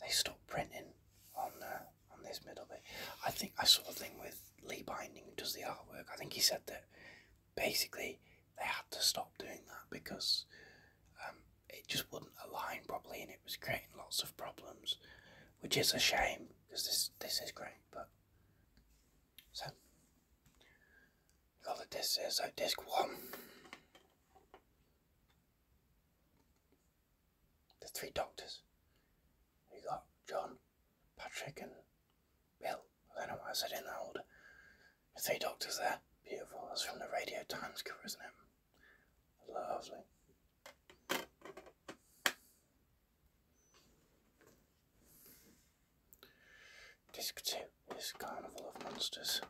S1: they stopped printing on uh, on this middle bit. I think I saw the thing with Lee Binding, does the artwork. I think he said that basically they had to stop doing that because um, it just wouldn't align properly, and it was creating lots of problems, which is a shame because this this is great. But so all that this is so disc one the three doctors. You got John, Patrick, and Bill. I don't know why I said in the order. three doctors there. Beautiful. That's from the Radio Times cover, isn't it? Lovely. Disc 2 is Carnival of Monsters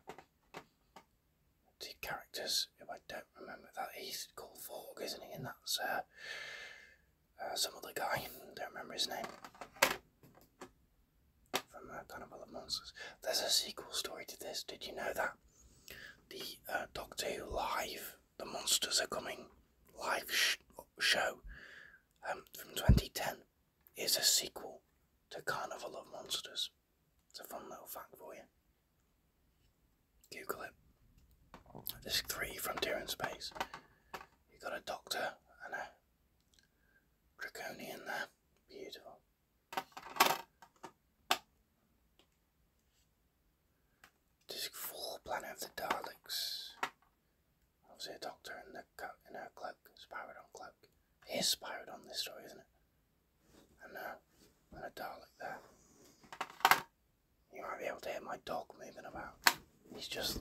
S1: the characters who I don't remember that he's called Vorg, isn't he? And that's uh, uh some other guy. Don't remember his name from Carnival uh, of Monsters. There's a sequel story to this. Did you know that? The uh, Doctor Who live, the monsters are coming live show um, from 2010 is a sequel to Carnival of Monsters. It's a fun little fact for you. Google it. There's three Frontier in Space. You've got a doctor and a draconian there. Beautiful. Disc 4, Planet of the Daleks. Obviously a doctor in, the co- in her cloak, Spyrodon cloak. It is Spyrodon this story, isn't it? and a Dalek there. You might be able to hear my dog moving about. He's just,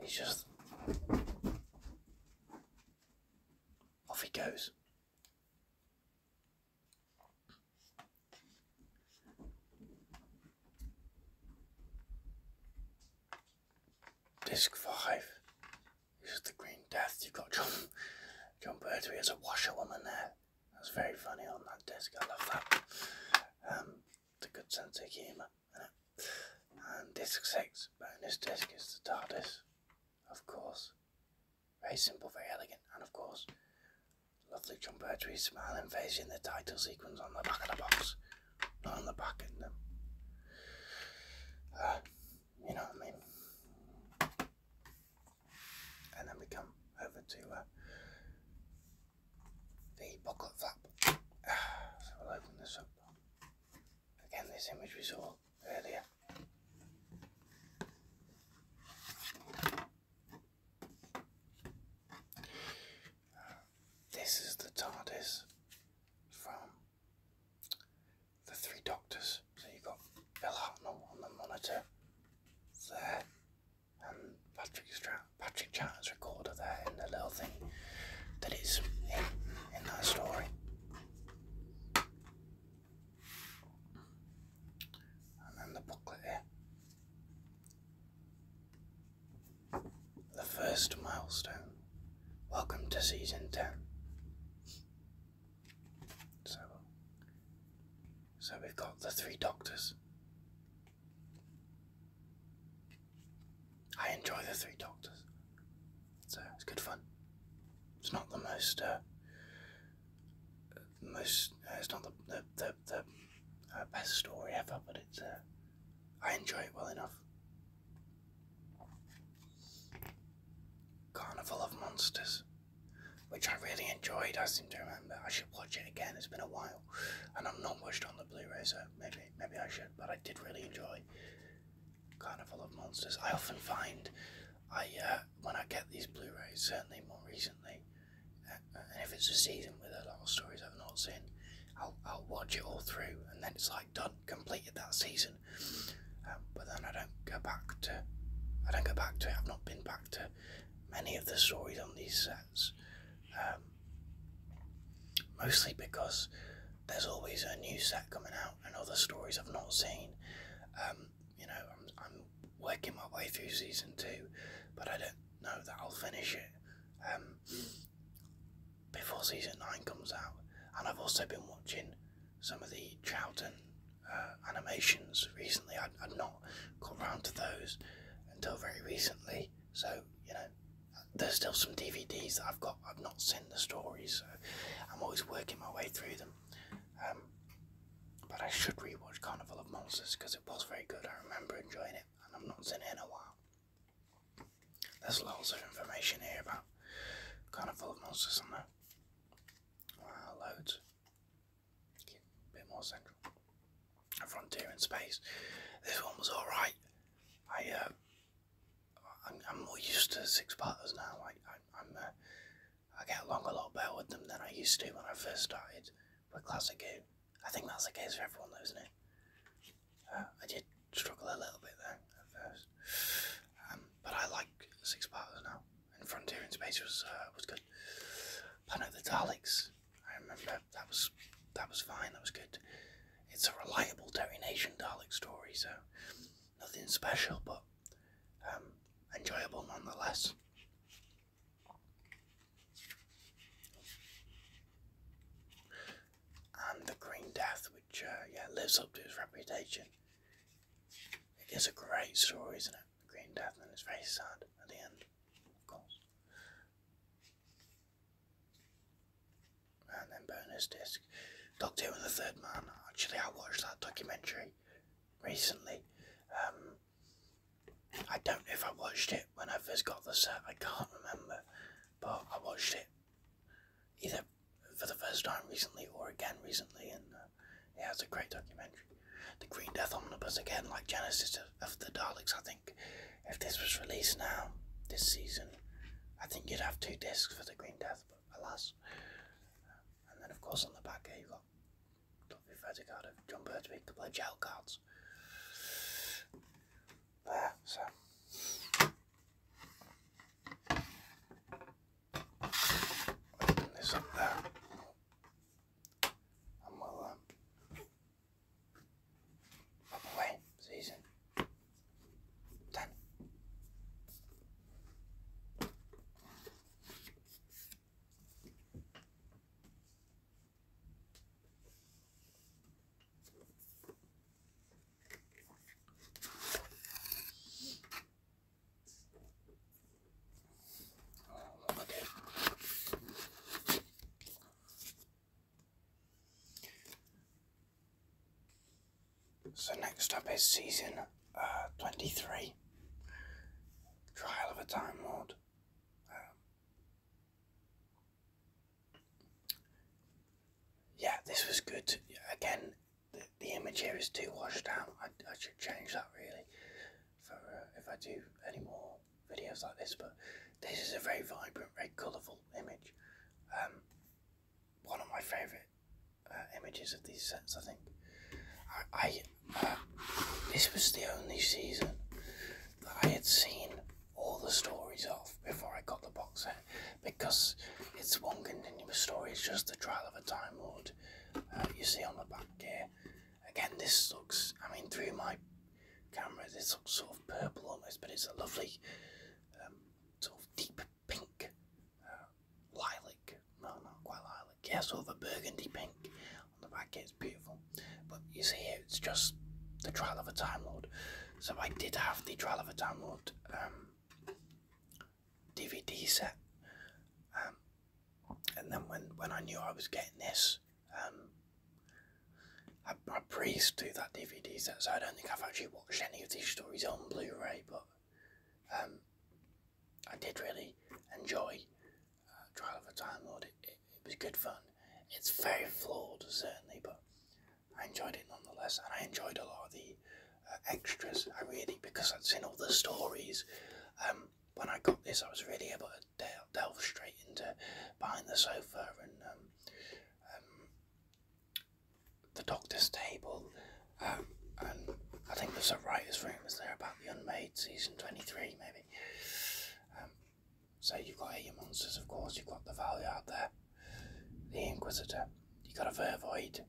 S1: he's just. Off he goes. Disc five. This is the Green Death. You've got John, John Pertwee as a washerwoman there. That's very funny on that desk. I love that. Um, it's a good sense of humour. And this six bonus disc is the TARDIS, of course. Very simple, very elegant, and of course, lovely John Pertwee smiling face in the title sequence on the back of the box, not on the back in them. Uh, you know what I mean? and then we come over to uh, the booklet flap. [SIGHS] So we'll open this up. Again, this image we saw earlier. this is the TARDIS from the Three Doctors. So you've got Bill Hartnell on the monitor there, um, Patrick, Stra- Patrick Chatter's recorder there in the little thing that is in, in that story. And then the booklet here. The first milestone. Welcome to season 10. So, so we've got the three doctors. I enjoy the three doctors. So it's good fun. It's not the most, uh, most. Uh, it's not the the the, the uh, best story ever, but it's. I enjoy it well enough. Carnival of Monsters which I really enjoyed. I seem to remember. I should watch it again. It's been a while, and I'm not watched on the Blu-ray, so maybe maybe I should. But I did really enjoy Carnival of Monsters. I often find I uh, when I get these Blu-rays, certainly more recently, uh, uh, and if it's a season with a lot of stories I've not seen, I'll watch it all through, and then it's like done, completed that season. Um, but then I don't go back to I don't go back to it. I've not been back to many of the stories on these sets, um, mostly because there's always a new set coming out and other stories I've not seen. Um, you know, I'm, working my way through season two, but I don't know that I'll finish it um, before season nine comes out. And I've also been watching some of the Troughton uh, animations recently. I'd, I'd not got round to those until very recently. So, you know, there's still some DVDs that I've got. I've not seen the stories, so I'm always working my way through them. Um, but I should rewatch Carnival of Monsters because it was very good. I remember enjoying it, and i am not seeing it in a while. There's loads of information here about Carnival of Monsters on there. Wow, loads. A bit more central. A frontier in space. This one was alright. I, uh, I'm, more used to six-parters now. I, I, am uh, I get along a lot better with them than I used to when I first started with Classic Who. I think that's the case for everyone, though, isn't it? Uh, I did struggle a little bit there at first, um, but I like six-parters now and Frontier in Space was uh, was good. Planet of the Daleks, I remember that was that was fine. That was good. It's a reliable Terry Nation Dalek story, so nothing special, but um, enjoyable nonetheless. And the Green Death, which uh, yeah lives up to its reputation. It is a great story, isn't it? The Green Death, and it's very sad at the end course. And then bonus disc. Doctor and the Third Man. Actually, I watched that documentary recently. Um, I don't know if I watched it when I first got the set, I can't remember. But I watched it either for the first time recently or again recently, and uh, yeah, it's a great documentary. The Green Death Omnibus again, like Genesis of, the Daleks. I think if this was released now, this season, I think you'd have two discs for the Green Death, but alas. and then, of course, on the back here, you've got Dr. Vertigard of John Birdsby, a gel cards. There, so. Open this up there. I'm well um away season done. So next up is season uh, 23, Trial of a Time Lord. Um, yeah, this was good. Again, the, the image here is too washed out. I, I should change that really for uh, if I do any more videos like this, but this is a very vibrant, very colourful image. Um, one of my favourite uh, images of these sets, I think. I, um, this was the only season that I had seen all the stories of before I got the box set because it's one continuous story. It's just the trial of a Time Lord. Uh, you see on the back here, Again, this looks, I mean, through my camera, this looks sort of purple almost, but it's a lovely um, sort of deep pink uh, lilac. No, not quite lilac. Yeah, sort of a burgundy pink on the back. It's beautiful. But you see it's just the Trial of a Time Lord. So I did have the Trial of a Time Lord DVD um, set. Um, and then when, when I knew I was getting this, um, I, I pre through that DVD set, so I don't think I've actually watched any of these stories on Blu-ray, but um, I did really enjoy uh, Trial of a Time Lord. It, it, was good fun. It's very flawed, certainly, but I enjoyed it nonetheless, and I enjoyed a lot of the uh, extras. I really, because I'd seen all the stories, um, when I got this, I was really able to delve, straight into behind the sofa and um, um, the doctor's table. Um, and I think there's a writer's room, is there, about The Unmade season 23, maybe. so you've got your Monsters, of course, you've got The Valyard there, The Inquisitor, you've got a Vervoid,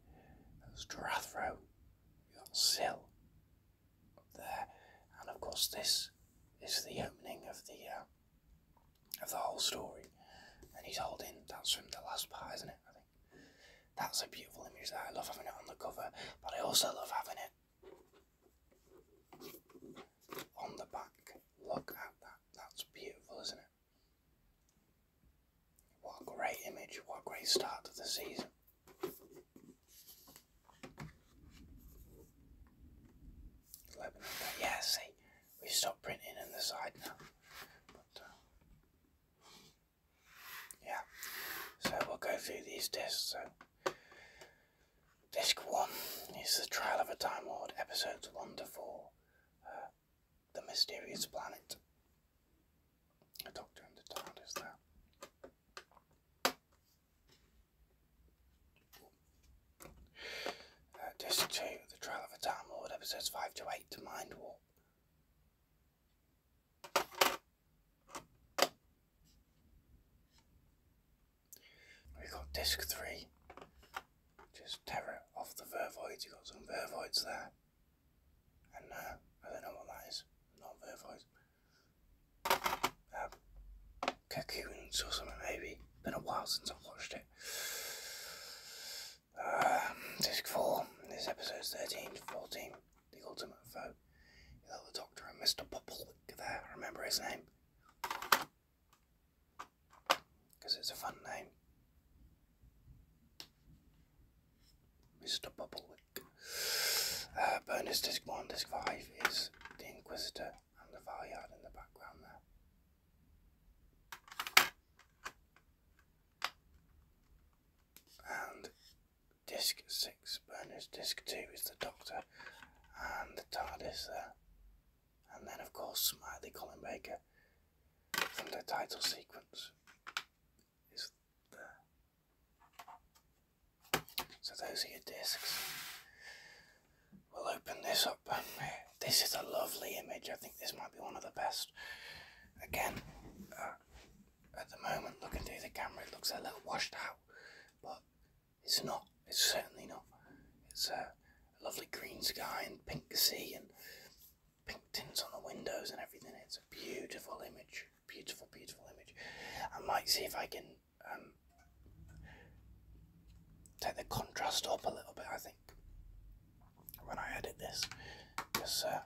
S1: there's Drathro, you've got Sill, there, and of course this is the opening of the uh, of the whole story. And he's holding that's from the last part, isn't it? I think that's a beautiful image. I love having it on the cover, but I also love having it on the back. Look at that. That's beautiful, isn't it? What a great image. What a great start to the season. Yeah, see, we stopped printing on the side now. Uh, yeah, so we'll go through these discs. So, disc one is the Trial of a Time Lord, episodes one to four. Uh, the mysterious planet. A doctor and the TARDIS there. Uh, disc 2, The Trial of a Time Lord, episodes 5 to 8, Mind Warp. we got disc 3, just Terror of the Vervoids. You've got some Vervoids there. And uh, I don't know what that is, not Vervoids uh, Cocoons or something maybe. Been a while since I've watched it. Uh, disc 4, this episode's 13 to 14, The Ultimate Foe. You know the Doctor and Mr. Bubblewick. there, remember his name. Because it's a fun name. Mr. Bubblewick. Uh, bonus disc 1, disc 5 is the Inquisitor and the Valyard in the background there. And disc 6, Bernard's disc 2 is the Doctor and the TARDIS there. And then, of course, Smiley Colin Baker from the title sequence is there. So those are your discs. We'll open this up. This is a lovely image. I think this might be one of the best. Again, uh, at the moment, looking through the camera, it looks a little washed out, but it's not. It's certainly not. It's a lovely green sky and pink sea and pink tints on the windows and everything. It's a beautiful image. Beautiful, beautiful image. I might see if I can um, take the contrast up a little bit, I think, when I edit this, because uh,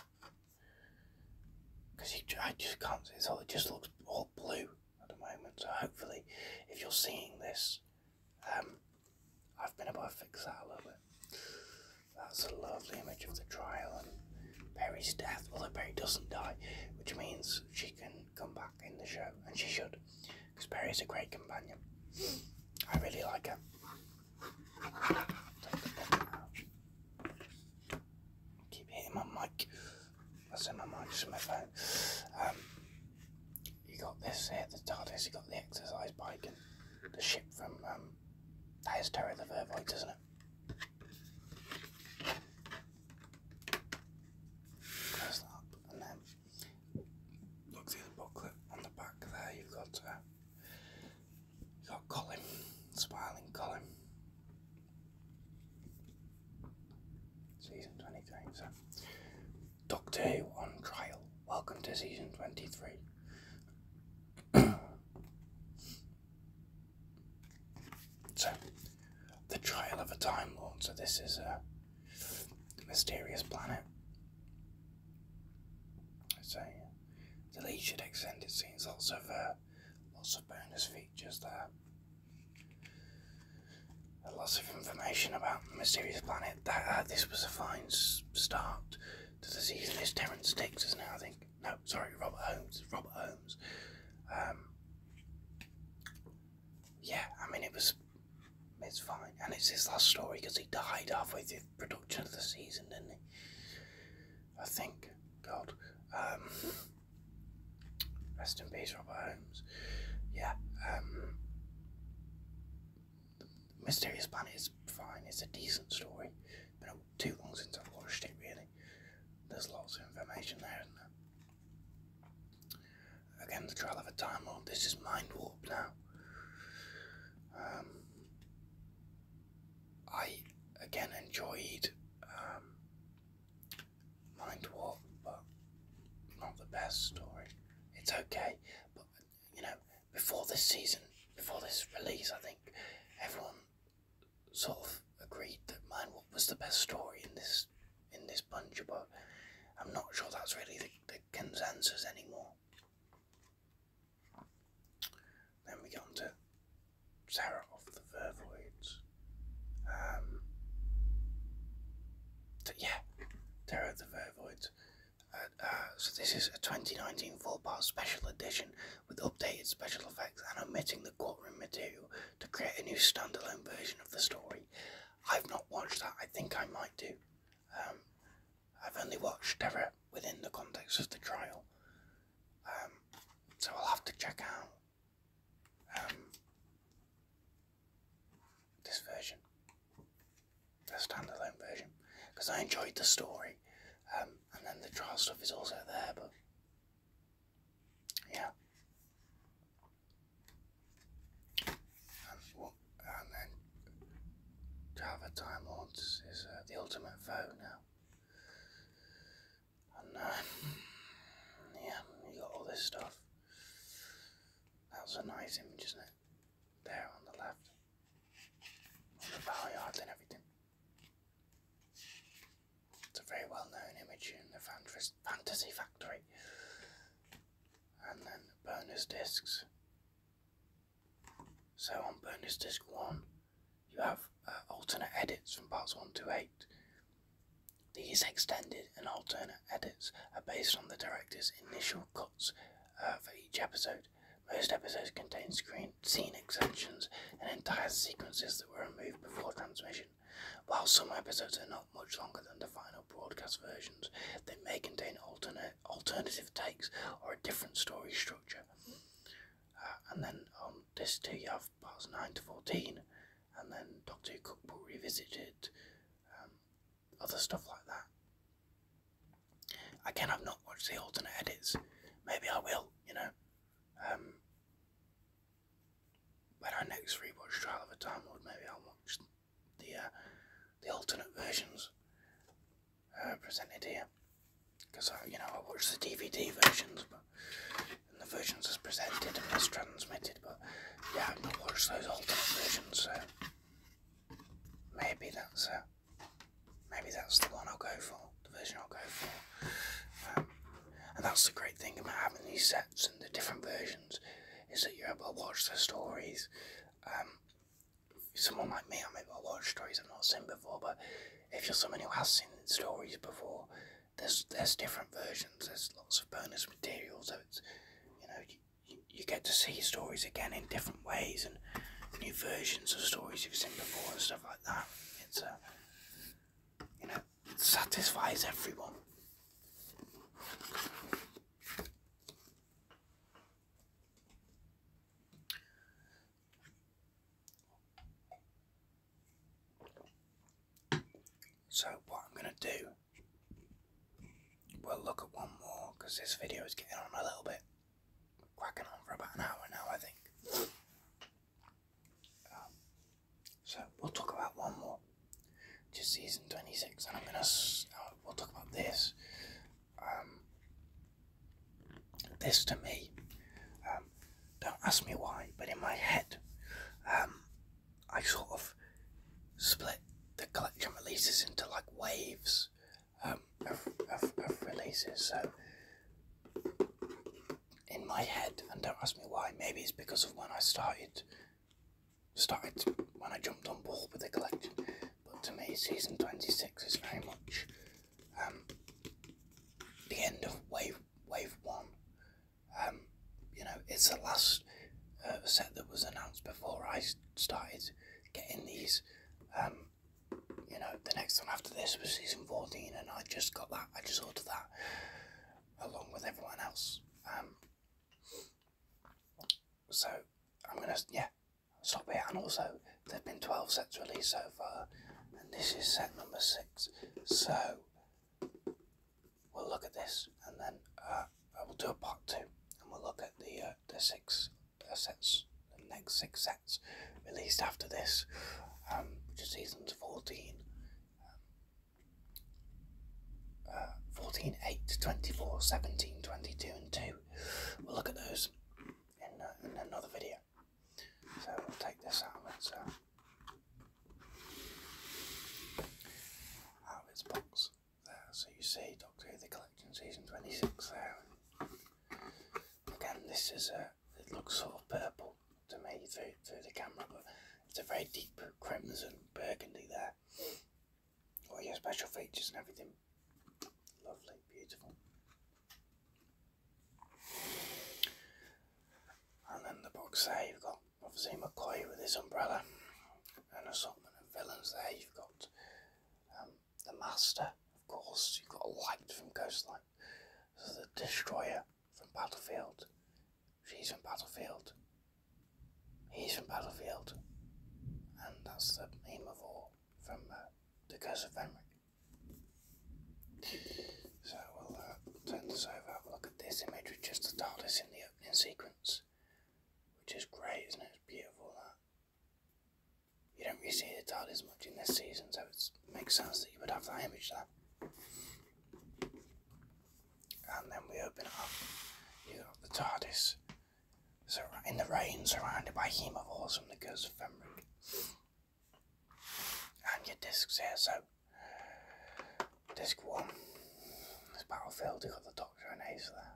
S1: cause you, I just can't see it, so it just looks all blue at the moment. So hopefully, if you're seeing this, um, I've been able to fix that a little bit. That's a lovely image of the trial and Perry's death, although Perry doesn't die, which means she can come back in the show, and she should, because Perry is a great companion. I really like her. Keep hitting my mic. That's in my mic, it's my phone. Um, you got this here, the TARDIS, you got the exercise bike, and the ship from um, that is Terror the Vervoid, isn't it? Close that up and then look through the booklet on the back there you've got uh, you've got Colin, smiling Colin. Season 23, so Doctor Who on trial. Welcome to season 23. [CLEARS THROAT] [CLEARS THROAT] So, the trial of a Time Lord. So this is a mysterious planet. So the lead should extend it seems lots of uh, lots of bonus features there. lots of information about the mysterious planet. That uh, this was a fine start to the season. It's Terrence Dix, is now. I think. No, sorry, Robert Holmes. Robert Holmes. Um, yeah, I mean, it was. It's fine. And it's his last story because he died halfway through production of the season, didn't he? I think. God. Um, rest in peace, Robert Holmes. Yeah. Um, Mysterious bunny is fine. It's a decent story. Been too long since I've watched it, really. There's lots of information there, isn't there? Again, the Trial of a Time Lord. This is Mind Warp now. Um, I again enjoyed um, Mind Warp, but not the best story. It's okay, but you know, before this season, before this release, I think everyone sort of agreed that Mind Warp was the best story in this in this bunch, but I'm not sure that's really the, the consensus anymore. Then we get on to Sarah of the Vervoids. Um, yeah, Terror of the Vervoids. Uh, uh, so this is a 2019 full-part special edition with updated special effects and omitting the courtroom material to create a new standalone version of the story. I've not watched that. I think I might do. Um, I've only watched Terror within the context of the trial, um, so I'll have to check out um, this version, the standalone version, because I enjoyed the story, and then the trial stuff is also there, but yeah. And, and then to have a Time Lord is uh, the ultimate foe now. And uh, yeah, you got all this stuff. That's a nice image, isn't it? There on the left. On the power and everything. It's a very well known image in the fan Fantasy, Factory. And then bonus discs. So on bonus disc 1, you have uh, alternate edits from parts 1 to 8. These extended and alternate edits are based on the director's initial cuts uh, for each episode. Most episodes contain screen, scene extensions and entire sequences that were removed before transmission. While some episodes are not much longer than the final broadcast versions, they may contain alternate, alternative takes or a different story structure. Uh, and then on disc two you have parts 9 to 14, and then Doctor Who Cookbook Revisited, um, other stuff like that. Again, I've not watched the alternate edits. Maybe I will, you know. Um, but I next rewatch Trial of a Time Lord, maybe I'll watch the uh, the alternate versions uh, presented here. Because you know I watched the DVD versions, but the versions as presented and as transmitted, but yeah, I've not watched those alternate versions, so maybe that's uh, maybe that's the one I'll go for, the version I'll go for. Um, and that's the great thing about having these sets and the different versions is that you're able to watch the stories. Um, someone like me, I'm able to watch stories I've not seen before, but if you're someone who has seen stories before, there's there's different versions. There's lots of bonus material, so you know you, get to see stories again in different ways and new versions of stories you've seen before and stuff like that. It's a you know satisfies everyone. So what I'm going to do, we'll look at one more because this video is getting on a little bit, cracking on for about an hour now I think. So we'll talk about one more, just season 26, and I'm gonna. Uh, we'll talk about this. Um, this to me, um, don't ask me why, but in my head, um, I sort of split the collection releases into like waves um, of, of releases. So in my head, and don't ask me why, maybe it's because of when I started started when I jumped on board with the collection. But to me, season 26 is very much um, the end of wave wave one. Um, you know, it's the last uh, set that was announced before I started getting these. Um, you know, the next one after this was season 14, and I just got that. I just ordered that along with everyone else. Um, so I'm gonna yeah stop here. And also there've been twelve sets released so far, and this is set number six. So we'll look at this, and then uh, I will do a part two, and we'll look at the uh, the six uh, sets, the next six sets released after this, um, which is seasons fourteen uh, 14, 8, 24, 17, 22, and 2. We'll look at those in, uh, another video. So we'll take this out of its, uh, out of its box there. So you see Doctor Who The Collection Season 26 there. Again, this is a, it looks sort of purple to me through, through the camera, but it's a very deep crimson burgundy there. Oh yeah, special features and everything. Lovely, beautiful. And then the box there, you've got obviously McCoy with his umbrella, an assortment of villains there. You've got um, the Master, of course, you've got Light from Ghostlight, the Destroyer from Battlefield, She's from Battlefield. He's from Battlefield. And that's the aim of all from uh, The Curse of Fenric. So we'll uh, turn this over, have a look at this image with just the TARDIS in the opening sequence. Which is great, isn't it? It's beautiful You don't really see the TARDIS much in this season, so it makes sense that you would have that image there and then we open up. You got the TARDIS so in the rain, surrounded by him of awesome that goes to Femric. And your discs here, so disc one is Battlefield, you got the Doctor and Hazel there.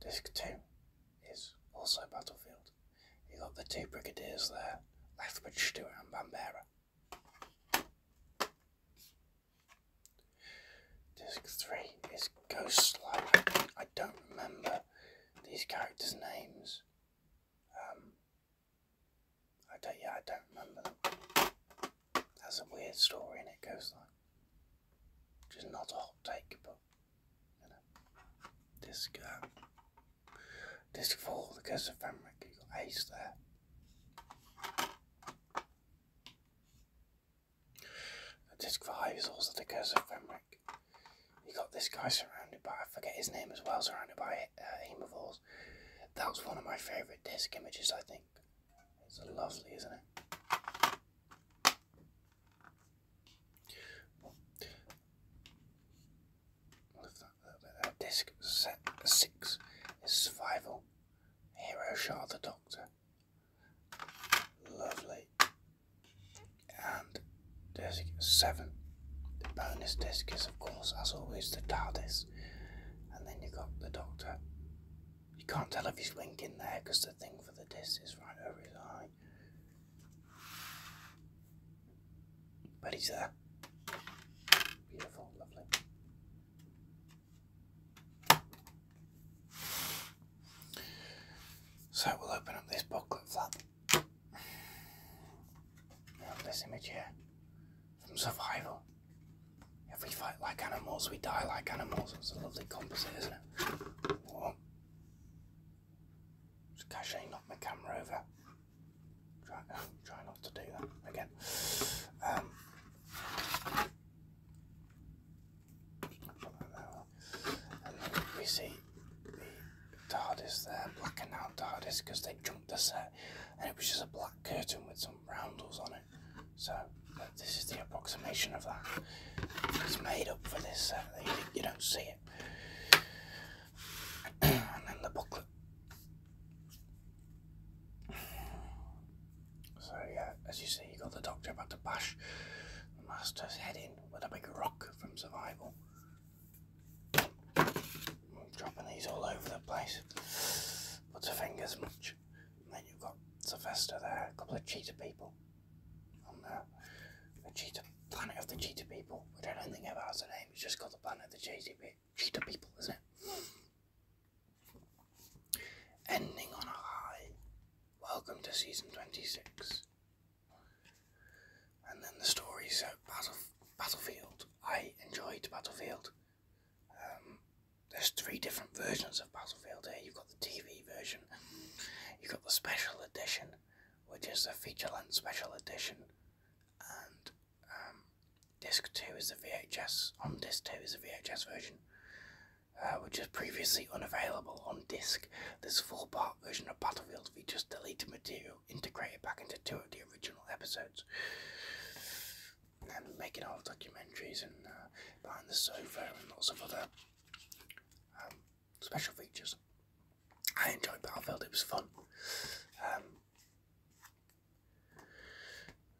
S1: Disc two is also Battlefield. You got the two brigadiers there, Lethbridge, Stewart, and Bambera. Disc 3 is Ghost Slayer. I don't remember these characters' names. Um, I don't, yeah, I don't remember That's a weird story, and it goes like, which is not hot take, Disc, uh, disc four, the curse of Famric, you got ace there. Disc five is also the curse of Famric. You got this guy surrounded by, I forget his name as well, surrounded by uh, hemovores. That was one of my favourite disc images, I think. It's lovely, isn't it? Lift Disc set six is survival. Hero Shah the Doctor. Lovely. And disc seven. The bonus disc is of course as always the TARDIS. And then you've got the Doctor. You can't tell if he's winking there because the thing for the disc is right over his eye. But he's there. Beautiful, lovely. So we'll open up this booklet flap. have this image here from Survival. If we fight like animals, we die like animals. It's a lovely composite, isn't it? Just casually knock my camera over. Try, [LAUGHS] try not to do that again. we um, see the TARDIS there, blacking out TARDIS because they jumped the set and it was just a black curtain with some roundels on it. So this is the approximation of that. It's made up for this you don't see it and then the booklet. So yeah, as you see, you got the doctor about to bash the master's head in with a big rock from Survival. dropping these all over the place. Put a fingers much. then you've got Sylvester there, a couple of cheetah people. The cheetah planet of the cheetah people, which don't think ever has a name. It's just called the planet of the cheetah people, isn't it? Ending on a high. Welcome to season twenty-six. And then the stories of Battle Battlefield. I enjoyed Battlefield. Um, there's three different versions of Battlefield here. You've got the TV version, you've got the special edition, which is the feature length special edition, and um, disc 2 is the VHS, on disc 2 is the VHS version, uh, which is previously unavailable on disc. This 4 part version of Battlefield features deleted material integrated back into two of the original episodes. And making all the documentaries and uh, behind the sofa and lots of other um, special features. I enjoyed Battlefield, it was fun. Um,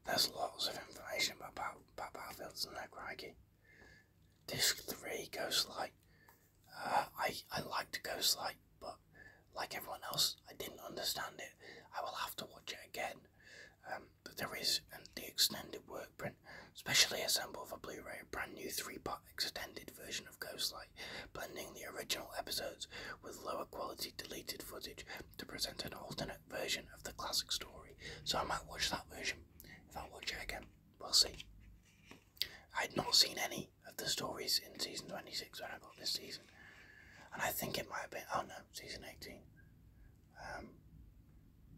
S1: there's lots of information about, about, about Battlefield, isn't there, Disc 3, Ghostlight. Uh, I, I liked Ghostlight, but like everyone else, I didn't understand it. I will have to watch it again. Um, but there is and um, the extended work print imprint, specially assembled for Blu ray, a brand new three part extended version of Ghostlight, blending the original episodes with lower quality deleted footage to present an alternate version of the classic story. So I might watch that version. If I watch it again, we'll see. I had not seen any of the stories in season 26 when I got this season, and I think it might have been, oh no, season 18. Um,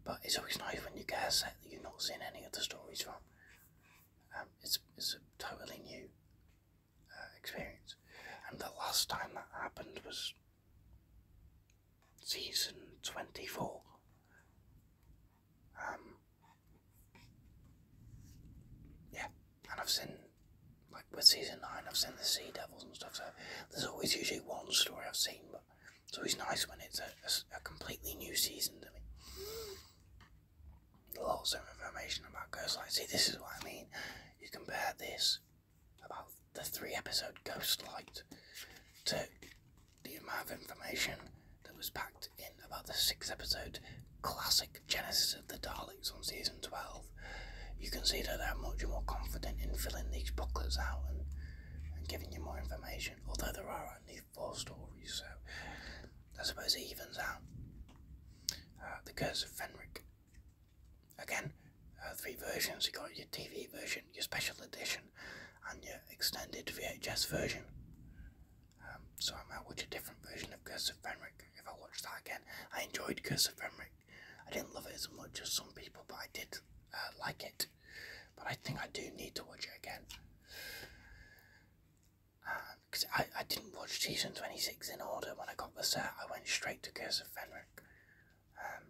S1: but it's always nice when you get a set that you've not seen any of the stories from. Um, it's, it's a totally new uh, experience. And the last time that happened was season 24. Um, yeah, and I've seen, like with season 9, I've seen the sea devils and stuff, so there's always usually one story I've seen, but it's always nice when it's a, a completely new season to me lots of information about Ghostlight. See, this is what I mean. You compare this about uh, the three episode Ghostlight to the amount of information that was packed in about the six episode classic Genesis of the Daleks on season 12. You can see that they're much more confident in filling these booklets out and, and giving you more information, although there are only four stories, so I suppose it evens out. Uh, the Curse of Fenric. Again, uh, three versions. You got your TV version, your special edition, and your extended VHS version. Um, so I might watch a different version of Curse of Fenric if I watch that again. I enjoyed Curse of Fenric. I didn't love it as much as some people, but I did uh, like it. But I think I do need to watch it again because I, I didn't watch season 26 in order when I got the set, I went straight to Curse of Fenric. Um,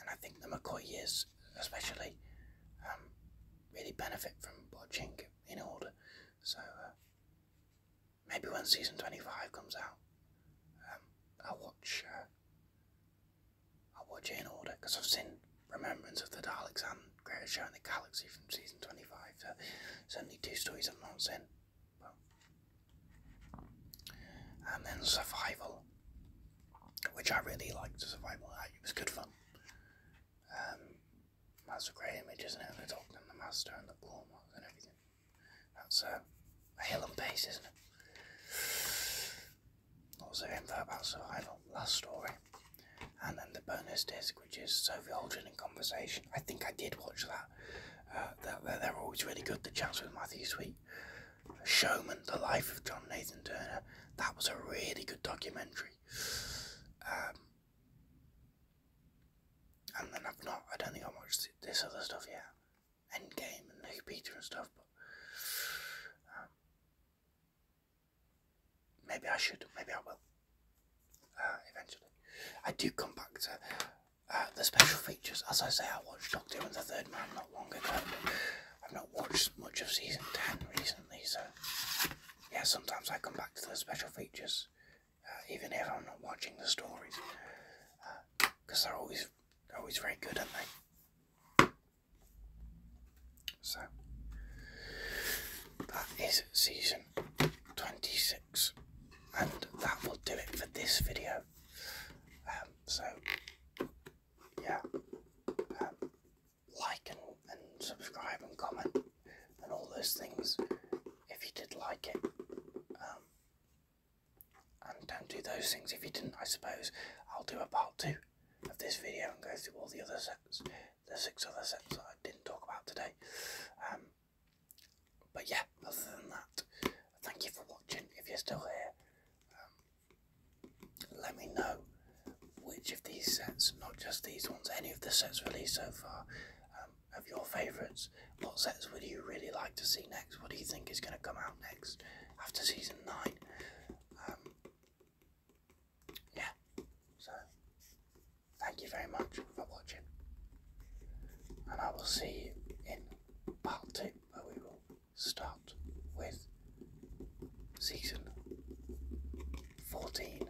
S1: and I think the McCoy years, especially, um, really benefit from watching in order. So uh, maybe when season 25 comes out, um, I'll watch uh, i watch it in order because I've seen Remembrance of the Daleks and Greatest Show in the Galaxy from season 25, so certainly two stories of have not And then Survival, which I really liked. Survival, it was good fun. Um, that's a great image, isn't it? They're talking the master and the ball and everything. That's uh, a hill and pace, isn't it? Also info about survival, last story, and then the bonus disc, which is Sophie Aldrin in conversation. I think I did watch that. Uh, they're, always really good. The chats with Matthew Sweet, Showman, The Life of John Nathan Turner. That was a really good documentary. Um, and then I've not. I don't think I watched this other stuff yet. Endgame and New Peter and stuff, um, Maybe I should. Maybe I will. Uh, eventually, I do come back to uh, the special features. As I say, I watched Doctor Who and the Third Man not long ago. I've not watched much of season ten recently, so yeah. Sometimes I come back to the special features, uh, even if I'm not watching the stories, because they're always they're always very good, aren't they? So that is season 26, and that will do it for this video. Um, so yeah, um, like and, and subscribe and comment and all those things if you did like it. Um, and don't do those things if you didn't, I suppose. I'll do a part two of this video and go through all the other sets the six other sets I didn't talk about today. Um, but yeah, other than that, thank you for watching. If you're still here, um, let me know which of these sets, not just these ones, any of the sets released so far, um, of your favourites. What sets would you really like to see next? What do you think is going to come out next after season 9? yeah, so thank you very much for watching, and I will see you in part 2 where we will start with season 14.